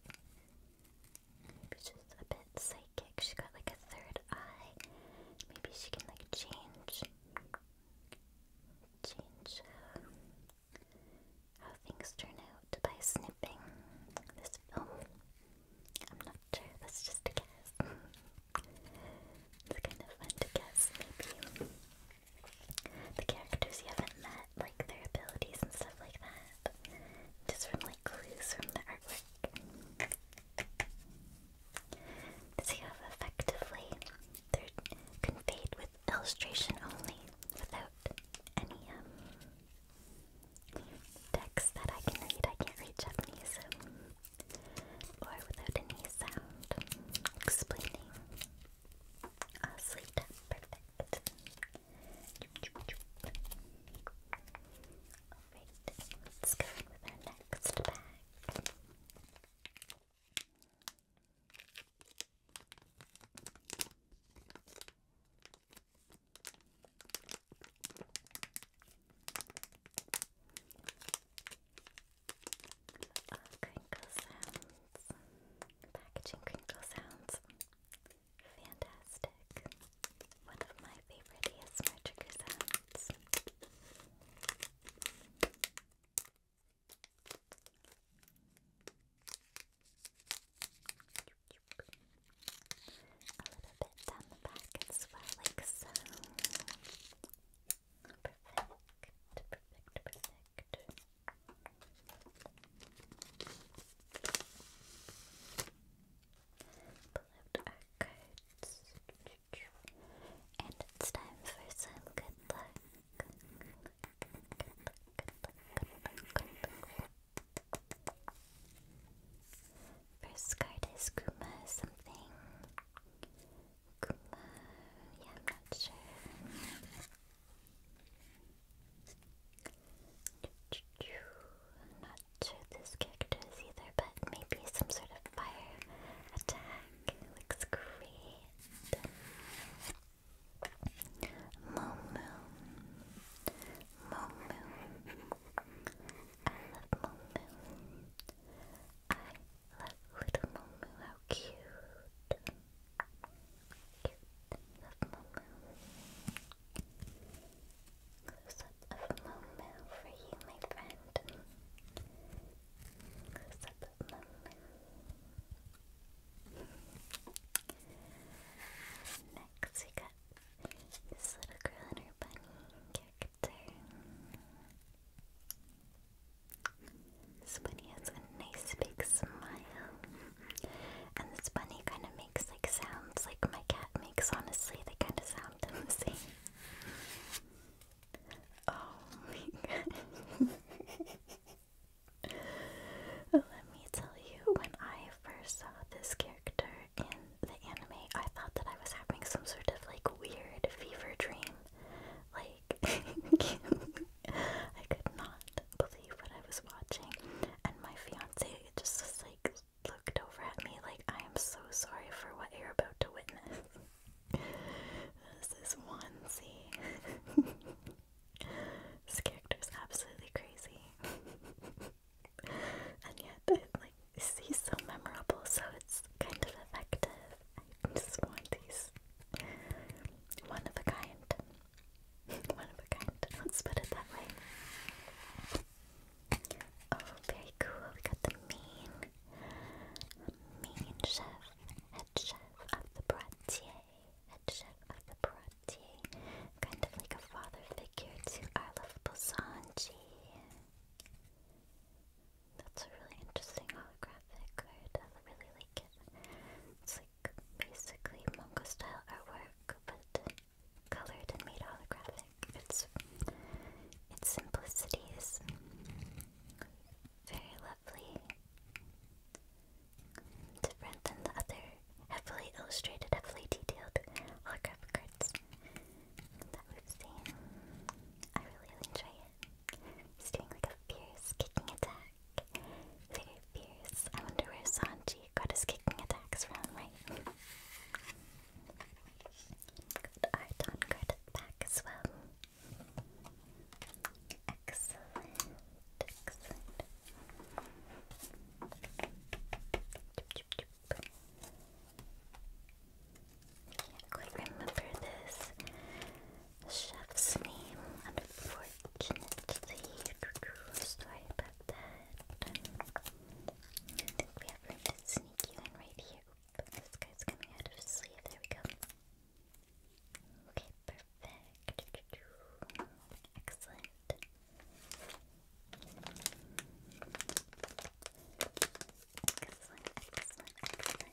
Maybe she's a bit psychic. She's got like a third eye. Maybe she can like change, change how things turn out by snipping this film. I'm not sure, that's just guess. [laughs] it's kind of fun to guess, maybe. The characters you haven't met, like their abilities and stuff like that. Just from like clues from the artwork. So you have effectively, they're conveyed with illustration only, without any um, text that I can read. I can't read Japanese, um, or without any sound explaining. Uh, ah, sleep perfect. Alright, let's go with our next bag. Oh, crinkle sounds. Packaging crinkle sounds. Fantastic. One of my favorite ASMR trigger sounds. A little bit down the back as well, like so. Perfect, perfect, perfect. Pull And it's time for some good luck. First card is Kuma something. Kuma, yeah, I'm not sure. not sure this character is either, but maybe some sort of fire attack looks great. Moo Moo. I love Moo I love little Moo How cute. Cute. Love Moo Close up of Moo for you, my friend. Close up of Moo Next, we got this little girl and her bunny character. This bunny has a nice big smile. And this bunny kind of makes like sounds like my cat makes, honestly. They kind of sound the [laughs] same. Oh [laughs] Let me tell you, when I first saw this character in the anime, I thought that I was having some sort of like weird fever dream. Like, [laughs] I could not believe what I was watching, and my fiance just like looked over at me like, I am so sorry for what you're about to witness. [laughs] this is one scene. [laughs] this character is absolutely crazy. [laughs] and yet, like, he's so memorable, so it's kind of effective. I just want these one of a kind. [laughs] one of a kind, let's put it that way. Oh, very cool. We got the mean, mean chef, head chef of the Bratier headship of the Paratier, kind of like a father figure to our lovable That's a really interesting holographic I really like it. It's like basically manga style artwork, but colored and made holographic. It's its simplicity is very lovely. Different than the other heavily illustrated, heavily detailed holographic cards that we've seen. I really enjoy it. It's doing like a fierce kicking attack. Very fierce. I wonder where Sanji got his kicking attacks from, right? Good art on card back as well. Excellent. Can't remember this chef's name, unfortunately. Sorry about that. I think we have room to sneak right here. this guy's coming out of his sleeve. There we go. Okay, perfect. Excellent. Excellent, excellent, excellent.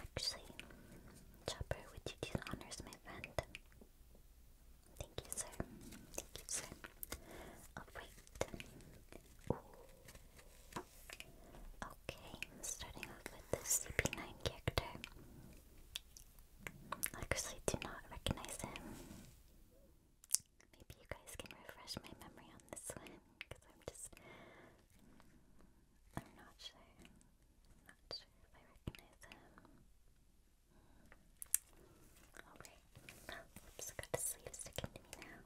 Actually, Chopper, would you do the honors, my friend? Thank you, sir. Thank you, sir. Oh, Alright. Okay, i starting off with this CP9 character. I actually do not recognize him. Maybe you guys can refresh my memory on this one, because I'm just... I'm not sure. not sure if I recognize him. Oops, I got the sleeve sticking to me now.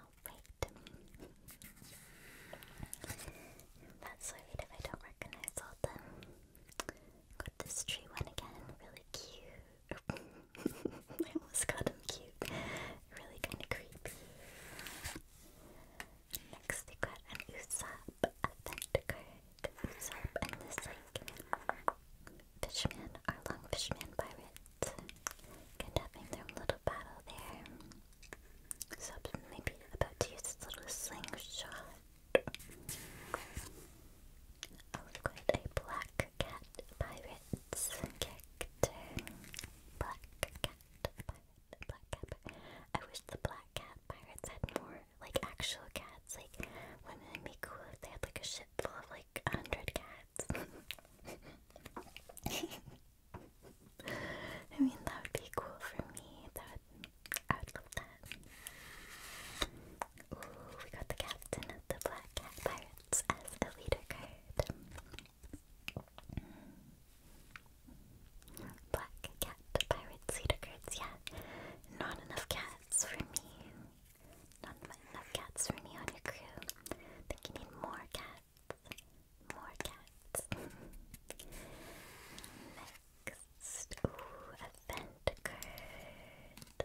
Alright. That's alright if I don't recognize all of them. Got this tree one again, really cute. [laughs] I almost got him cute. Really kind of creepy. Next we got an Usopp event card. Usopp and this like Fishman, our long fishman pirate, kind their little battle there. So maybe about to use this little slingshot. Oh, we a black cat pirate's character. Black cat pirate, black cat I wish the black cat pirates had more, like, actual cats. Like, wouldn't it be cool if they had, like, a ship full of, like, a hundred cats? it. [laughs] I mean, that would be cool for me. That would, I would love that. Ooh, we got the captain of the Black Cat Pirates as a leader card. Black Cat Pirates leader cards, yeah. Not enough cats for me. Not enough cats for me on your crew. Think you need more cats. More cats. [laughs] Next. Ooh, event card.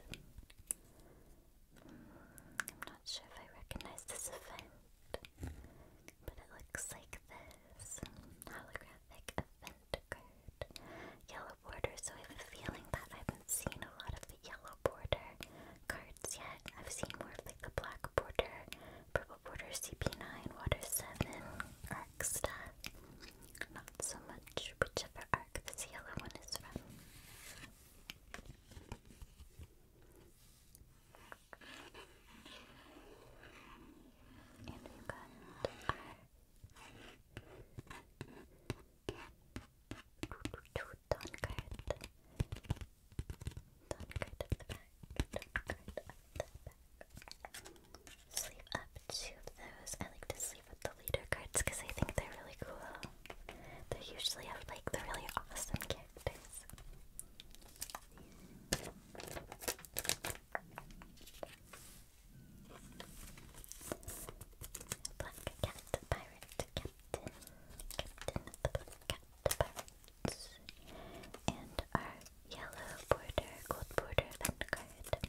Hmm, I'm not sure if I recognize this event. But it looks like this. Holographic event card. Yellow border, so I have a feeling that I haven't seen a lot of the yellow porter cards yet. I've seen more of like the black porter, purple porter, CP9, water 7, arc stuff. Not so much whichever arc this yellow one is from. Dawn card. Dawn card at the back. Dawn card up the back. Sleeve up two of those. I like to sleep with the leader cards because I think they're really cool. They usually have like the really awesome characters. Black cat, pirate Captain, Captain and our yellow border, gold border Vanguard.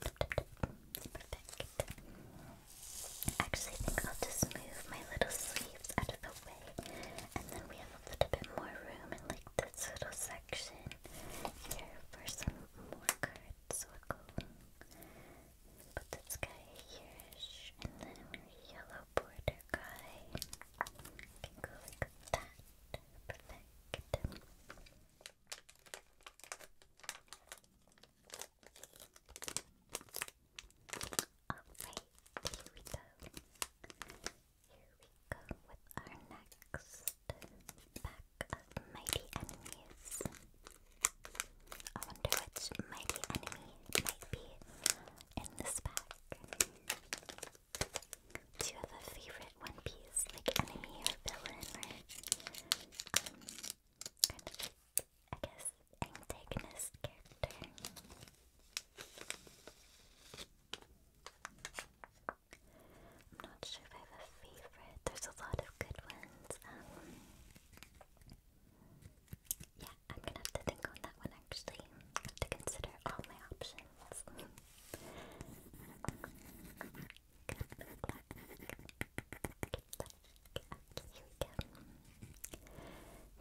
Perfect. I think I'll just move my little sleeves out of the way, and then we have a little bit more room in like this little section here for some more cards. Put this guy here and then a yellow border guy. Can go like that. Perfect. Alright, we go. Here we go with our next pack of mighty enemies. I wonder which mighty enemy might be in this pack. Do you have a favorite One Piece, like enemy or villain or um, kind of, I guess, antagonist character? I'm not sure if I have a favorite. There's a lot of good ones. Um, yeah, I'm gonna have to think on that one actually. have to consider all my options.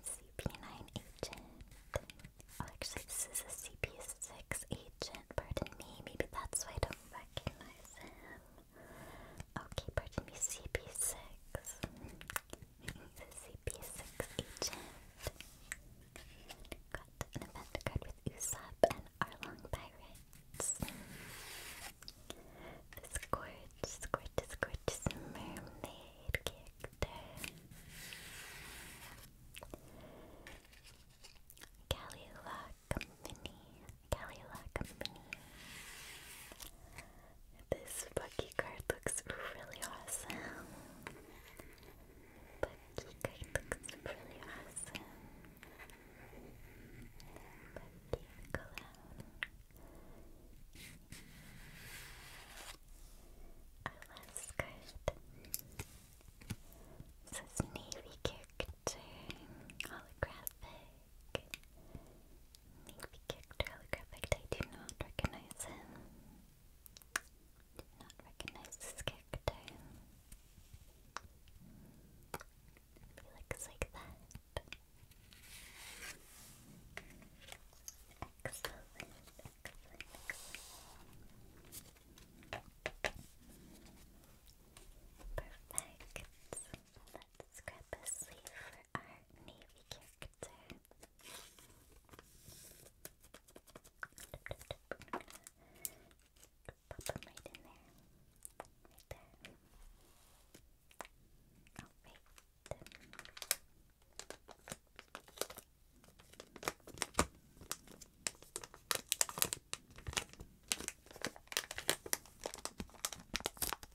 CP9 agent. Oh, actually, this is a CP6 agent. Pardon me. Maybe that's why I don't recognize him. Okay, pardon me, CP6. CP6 agent. Got an event card with Usopp and Arlong Pirates. This gorgeous, gorgeous, gorgeous mermaid character. Galileo Company. Kalila Company. This Bucky card looks really awesome. Bucky card looks really awesome. Bucky the clown. says Navy character holographic. Navy character I do not recognize him. not recognize this character. He looks like that. Excellent, Perfect. Let's grab a sleeve our navy character. pop him right in there. Right there. Okay,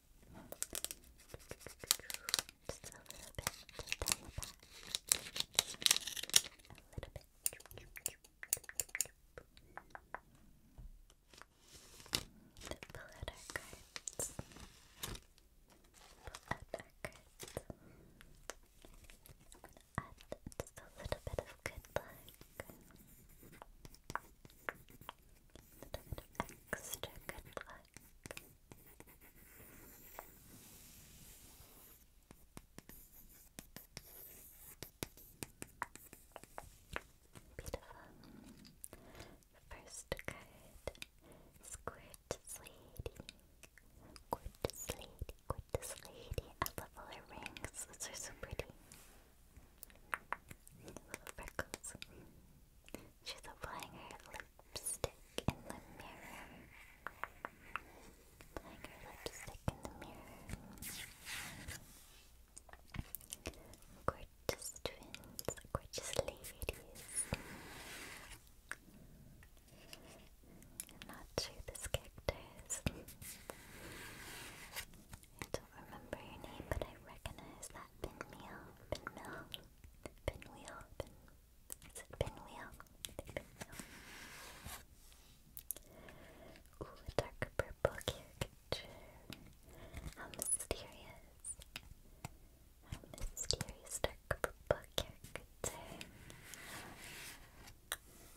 Just a little bit. Just A little bit. To pull out our cards. Pull out our just a little bit of good luck. A little extra good luck back. Beautiful. First card is Quartz Lady. Quartz Lady, Quartz I love all her rings. Those are so pretty. Little freckles. She's applying her lipstick in the mirror. Applying her lipstick in the mirror. Gorgeous twins, gorgeous ladies. not sure this character is. I don't remember your name, but I recognize that pinwheel, pinmill. Pinwheel. Pin, is it pinwheel? pinwheel. Ooh, a dark purple caricature. How mysterious. How mysterious dark purple caricature.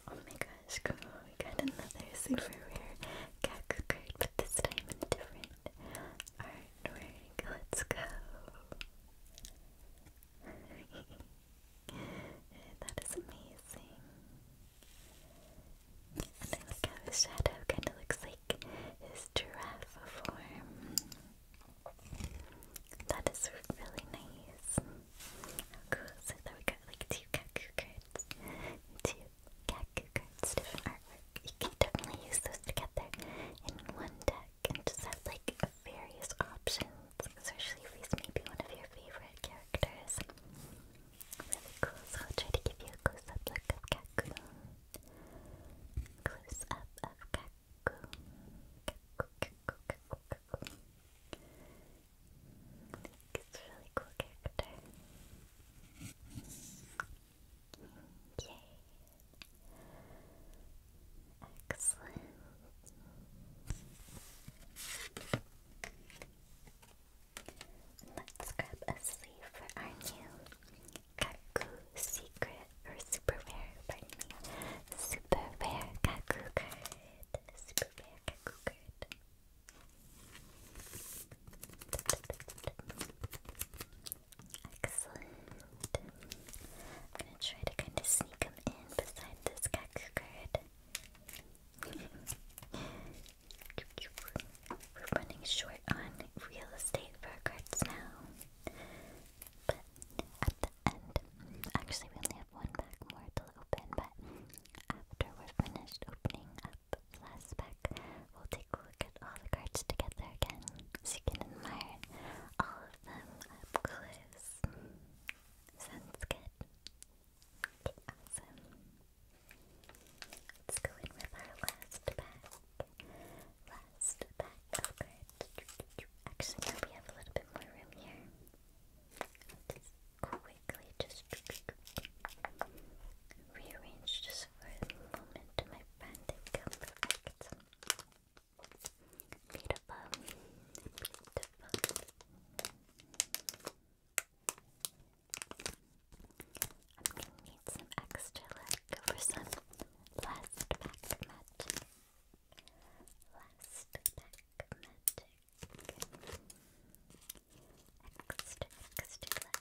Oh my gosh, cool. We got another super rare Gaku card, but this time in a different art. Let's go. [laughs] that is amazing. And how his shadow kind of looks like his giraffe form. That is really nice. cool. So that we got like two Kaku cards. Two cat different artwork. You can definitely use those together in one deck and just have like various options, especially if he's maybe one of your favorite characters. Really cool, so I'll try to give you a close-up of Kakun. Close-up of Kakun. It's a really cool character. Okay. Excellent. Let's grab a sleeve for our new Kaku secret or super rare, Super rare Kaku card. Super rare Kaku card. Excellent. I'm gonna try to kind of sneak him in beside this Kaku We're running short on real estate for cards now. But at the end, actually, we only have one pack more to open, but after we're finished opening up last pack, we'll take a look at all the cards together again, so you can admire all of them up close. Sounds good. awesome. Let's go in with our last pack. Last pack of Actually, now we have a little bit more room here. quickly just rearrange just for a moment my bandit cover. Beautiful. Beautiful. I'm gonna need some extra luck for some last magic. Last magic. Extra, extra luck.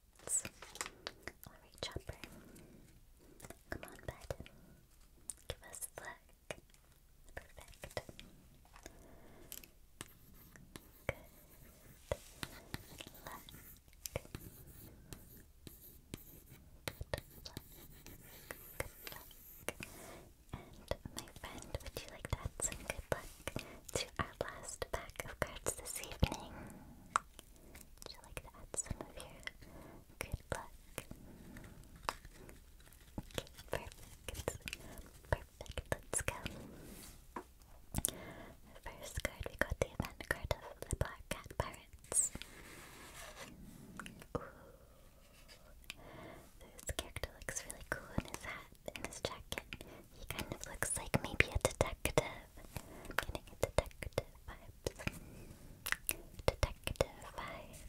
minutes. Alright, Chopper. Come on, bud. Give us a Perfect. Good. Luck. Good luck. Good luck. And my friend, would you like to add some good luck to our last pack of cards this evening? Would you like to add some of your good luck? Okay, perfect. let's go. First card, we got the event card of the Black Cat Pirates. Ooh. This character looks really cool in his hat, in his jacket. He kind of looks like maybe a detective i getting detective vibes. Detective vibes.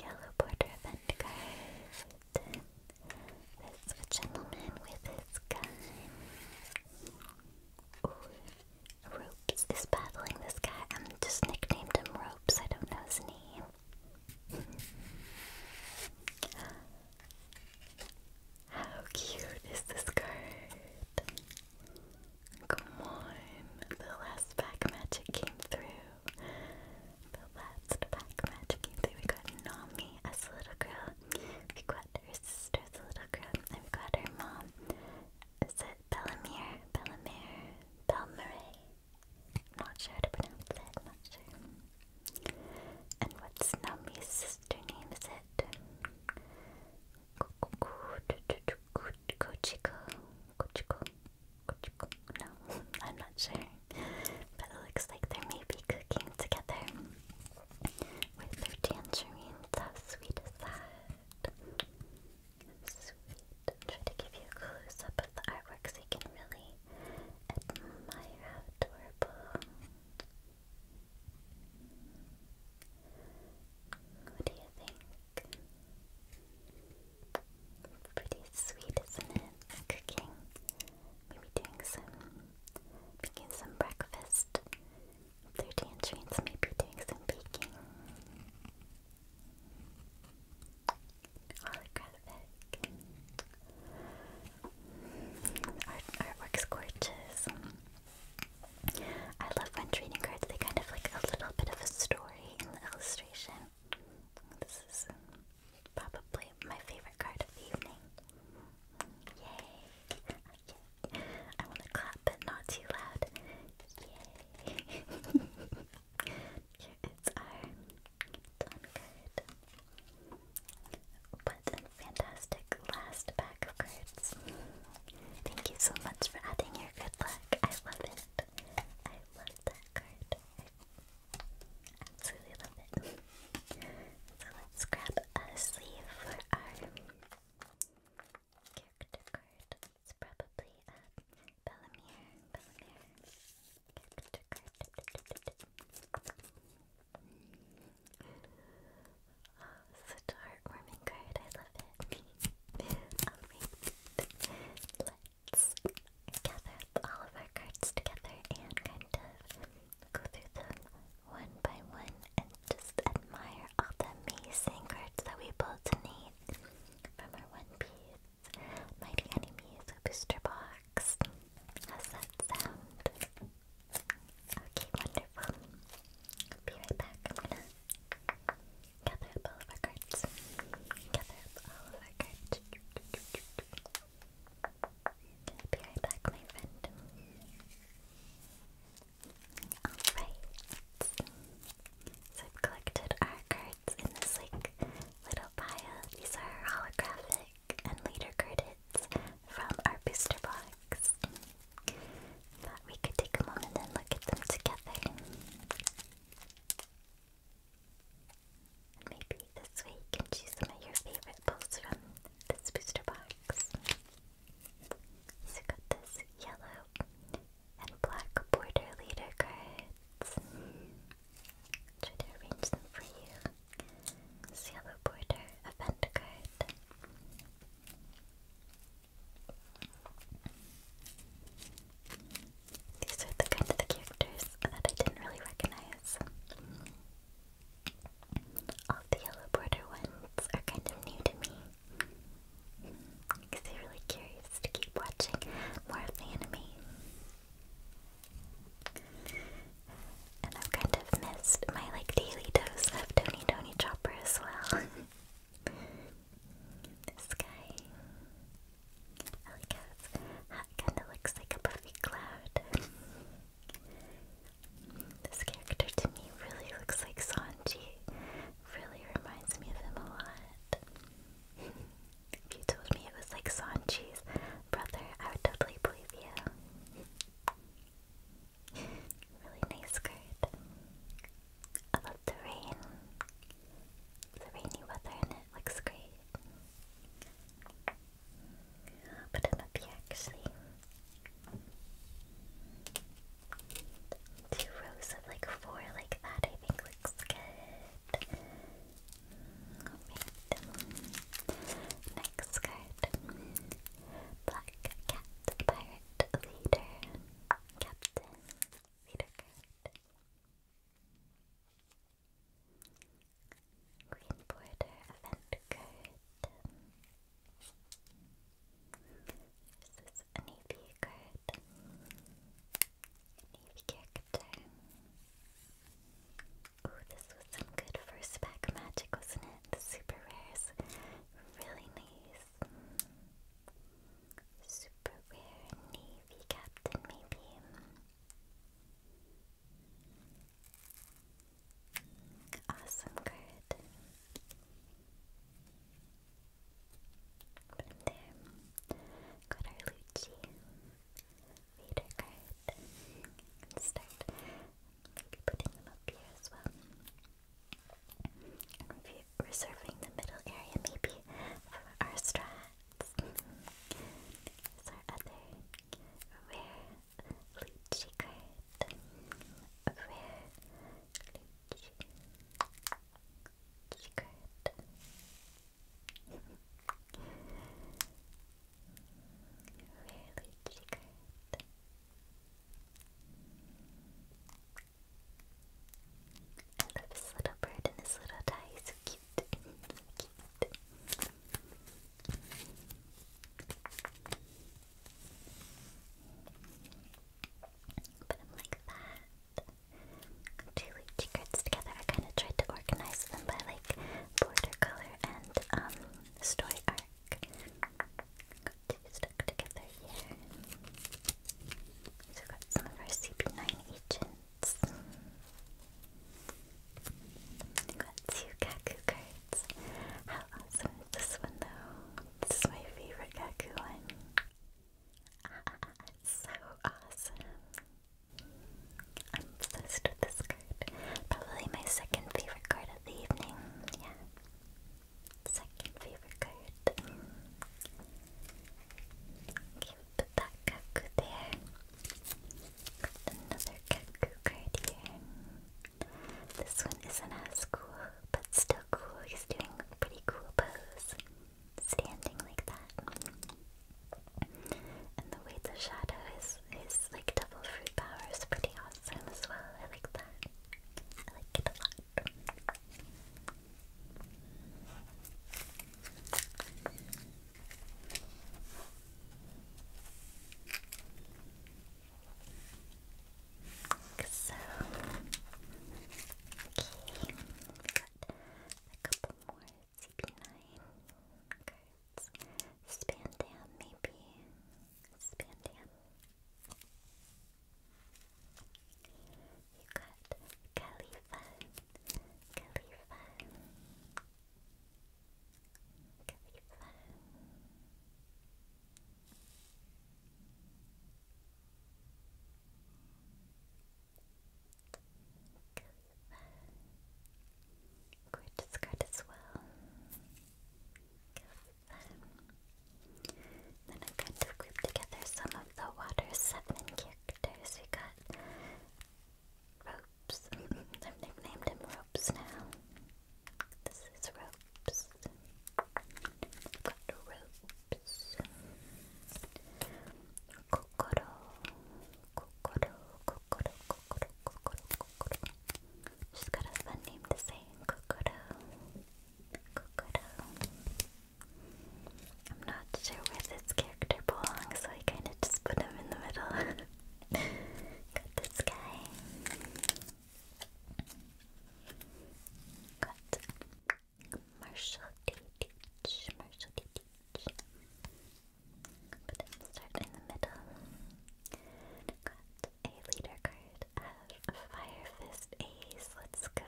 Yellow border event card. This a gentleman with his gun. Ooh. Ropes is battling this guy. I'm just nicknamed him Ropes. I don't know his name. How cute is this card? Come on, the last pack magic came through. The last pack magic came through. We got Nami a little girl. We got her sister a little girl. And we got her mom. Is it Bellamere? Bellamere? Belmere? not sure how to pronounce it. not sure. And what's now my sister name is it? No, I'm not sure. But it looks like they may be cooking together with their tangerines. How sweet is that? Sweet. Try to give you a close up of the artwork so you can really admire how adorable what do you think? Pretty sweet, isn't it? Cooking. Maybe doing some making some breakfast. Thirty entrance, maybe doing some baking. Holographic. Art artwork's gorgeous. I love when trading cards, they kind of like a little bit of a story in the illustration. This is probably my favorite card of the evening. Yay! I want to clap, but not too loud. Yay! [laughs] Here is our done card. What a fantastic last pack of cards. Thank you so much for adding your good luck. I love it. I love that card. I absolutely love it. So let's grab a sleeve for our character card. It's probably a Bellamere, Bellamere character card. Oh, such a heartwarming card. I love it. [laughs] let's gather all of our cards together and kind of go through them one by one and just admire all the amazing cards that we both need from our One Piece Mighty Enemies Booster Box. How's that sound? Okay, wonderful. be right back. I'm gonna gather up all of our cards. Gather up all of our cards. be right back, my friend. Alright. So I've collected our cards in this little pile. These are holographic and leader credits from our booster box. Thought we could take a moment and look at them together. Maybe this way choose some of your favorite pulls from this booster box. So got this yellow and black border leader cards. to arrange them for you. Cielo Porter event These are the kind of the characters that I didn't really recognize. All the yellow border ones are kind of new to me. Because they're really curious to keep watching more of the anime. And I've kind of missed my like daily dose of Tony Tony Chopper as well. [laughs] this guy. I like how his kinda looks like a puffy cloud. this character to me really looks like Sanji. Really reminds me of him a lot. if you told me it was like Sanji's brother, I would totally believe you really nice skirt. I love the rain. The rainy weather and it looks great. I'll put him up here actually. Two rows of like four like that I think looks good. Next card. Black Cat Pirate Leader. Captain Leader card. Green Border Event card. This is a Navy card. Navy character. Ooh, this was some good first pack magic, wasn't it? The super rares. Really nice. Super rare Navy Captain, maybe. Awesome card. Put there. Got our Lucci. Vader card. Start I'll be putting them up here as well. reserving the middle area maybe for our strats. Here's other rare Luchi card. A [laughs] really triggered. I love his little bird and his little tie, so cute, so cute. Put him like that. Two lychee together. I kind of tried to organize them by like border color and um story arc. Got two stuck together here. So got some of our CP9 agents. Got two Kaku cards. How awesome is this one though? This is my favorite Kaku one. [laughs] so awesome. I'm obsessed with this Probably my second favorite card of the evening. Yeah. Second favorite card. Okay, we'll there. Another Kaku card here. This one isn't as cool, but still cool. He's doing a pretty cool pose. Standing like that. And the way the shadow is, is like double fruit power is pretty awesome as well. I like that. I like it a lot. Okay. we got a couple more. CP9. Okay words. Spandam, maybe. Spandam. You got Khalifa. Khalifa. Khalifa. Gorgeous card as well. Then I've got to together some of the Water 7 characters. We got Ropes. I've nicknamed him Ropes now. This is Ropes. we got Ropes. Kokoro. Kokoro, kokoro, kokoro, She's got a fun name to say, Kokoro. Kokoro. I'm not sure where this character belongs, so I kind of just put him in the middle. got this guy. Got Marshall D. Marshall D. Teach. Put him start in the middle. Got a leader card of Fire Fist Ace. Let's go.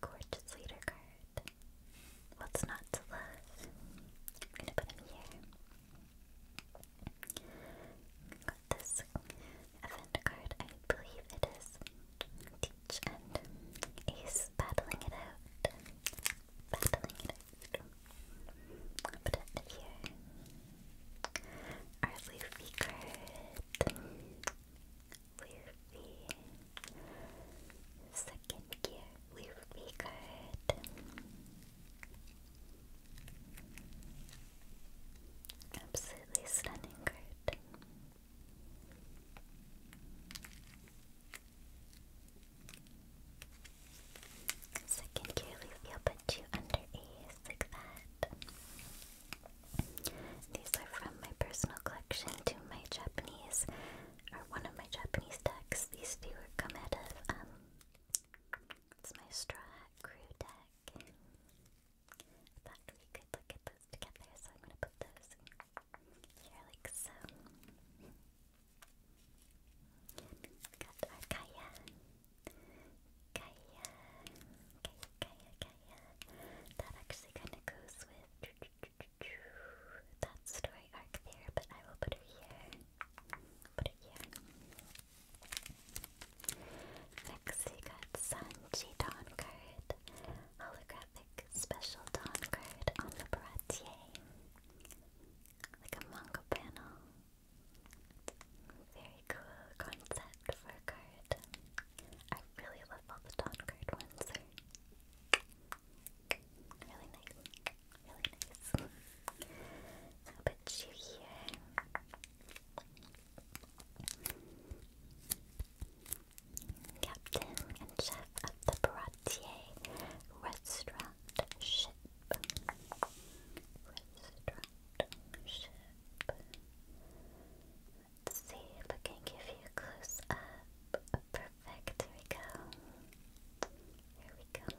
Gorgeous leader card. What's not to love? I'm gonna put him here. Got this event card, I believe it is Teach and Ace battling it out. Battling it out. put it here. Our Luffy card. Luffy. Second gear. Luffy card. Absolutely stunning card. Second year leaf, put you under A's like that. These are from my personal collection to my Japanese, or one of my Japanese decks. These two come out um, it's my Straw Crew deck. I thought we could look at those together, so I'm gonna put those here like so. Got our Kaya. Kaya. Kaya, Kaya, Kaya. That actually kind of goes with that story arc there, but I will put her here. Put it here. Next, we got Sanji Dawn card, holographic special Dawn card on the Baratier, like a manga panel. Very cool concept for card. I really love all the Dawn card ones. really nice, really nice. I'll put you here. Captain and chef of the Baratier Restaurant ship. Let's see if I can give you a close up. Perfect, here we go. Here we go.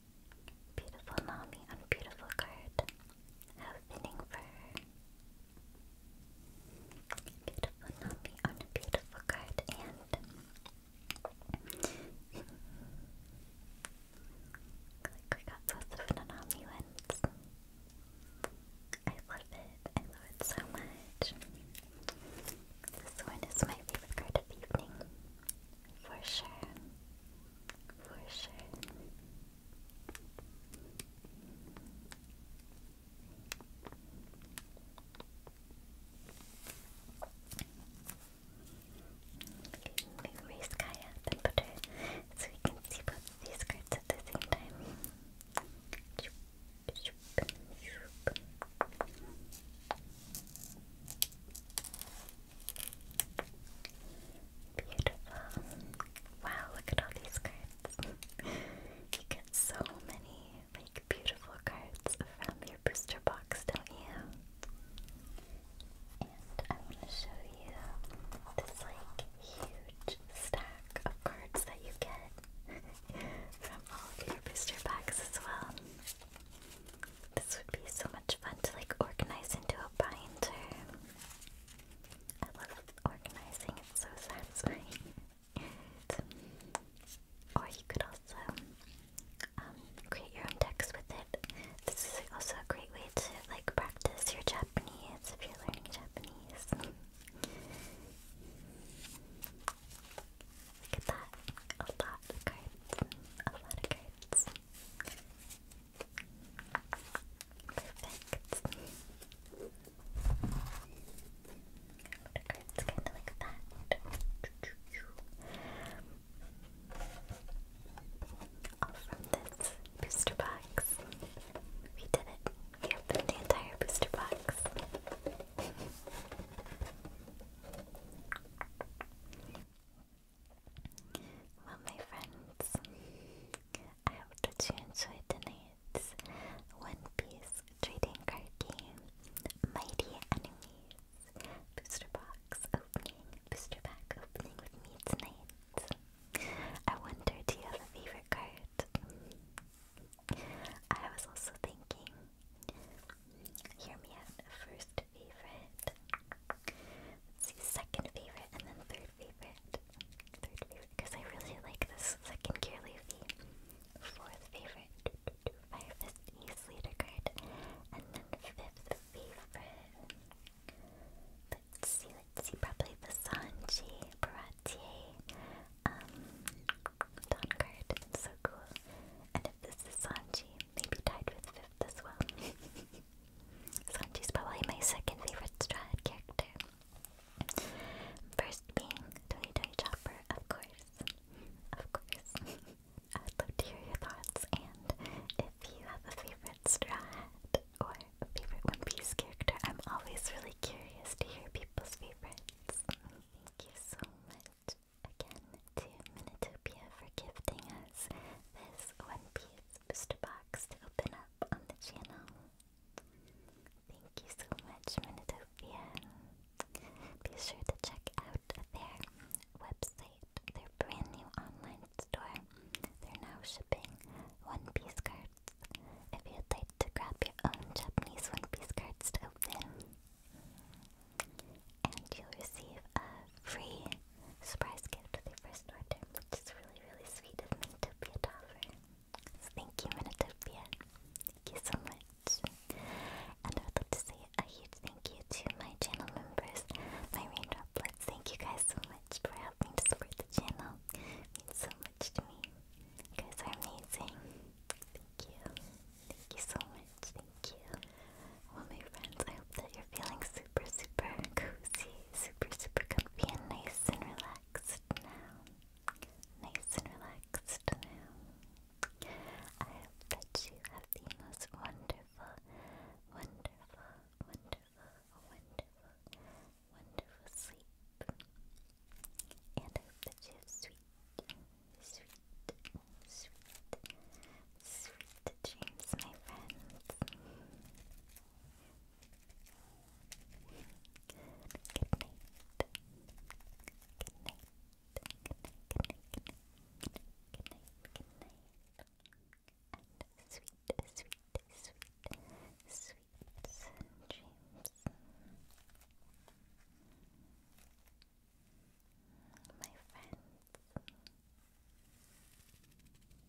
Beautiful Nami on beautiful card. How fitting for her. Beautiful Nami on a beautiful card and like [laughs] we got both of Nanami wins. I love it. I love it so much. This one is my favorite card of the evening. For sure. Wunderschön. Move Race Gaia up and put her so we can see both of these cards at the same time. Beautiful. Wow, look at all these cards. [laughs] you get so many like beautiful cards from your booster box, don't you? And I want to show you this like huge stack of cards that you get [laughs] from all of your booster packs as well. This would be so much fun to like organize into a binder. I love organizing, it's so satisfying. or you could also um, create your own decks with it. This is also a great way to like practice your Japanese if you're learning Japanese. Look at that. A lot of cards. A lot of cards. Perfect. The card's kind of like that. All from this booster box. We did it. We opened the entire booster box. Well, my friends, I hope that you enjoyed tonight's One Piece trading card game, Mighty Enemies, booster box opening, booster pack opening with me tonight. I wonder, do you have a favorite card? I was also thinking, hear me out, first second favorite, and then third favorite. Third favorite, because I really like this second gear leafy. Fourth favorite, fifth Fist East leader card. And then fifth favorite. Let's see, probably the Sanji, Baratier, um, so cool. And if this is Sanji, maybe tied with fifth as well. Sanji's [laughs] probably my second favorite Strahd character. First being Tony Tony Chopper, of course. Of course. [laughs] I would love to hear your thoughts and if you have a favorite Strahd or a favorite One Piece character, I'm always really curious to hear people's favorites. Thank you so much again to Minitopia for gifting us this One Piece Booster Box to open up on the channel. Thank you so much, Minotopia. Be sure to check out their website, their brand new online store. They're now shipping One Piece cards. If you'd like to grab your own Japanese One Piece cards to open, and you'll receive a free surprise gift with your first order, which is really, really sweet of Minotopia to offer. So thank you, Minotopia. Thank you so much. And I would like to say a huge thank you to my channel members, my raindroplets. Thank you guys so much for helping to support the channel. means so much to me. You guys are amazing. Thank you. Thank you so much. Thank you my friends, I hope that you're feeling super, super cozy, super, super comfy, and nice and relaxed now. Nice and relaxed now. I hope that you have the most wonderful, wonderful, wonderful, wonderful, wonderful sleep. And I hope that you have sweet, sweet, Sweet dreams, my friends. Good night. Good night. Good night. Good night. sweet, sweet, sweet, sweet dreams. My friends.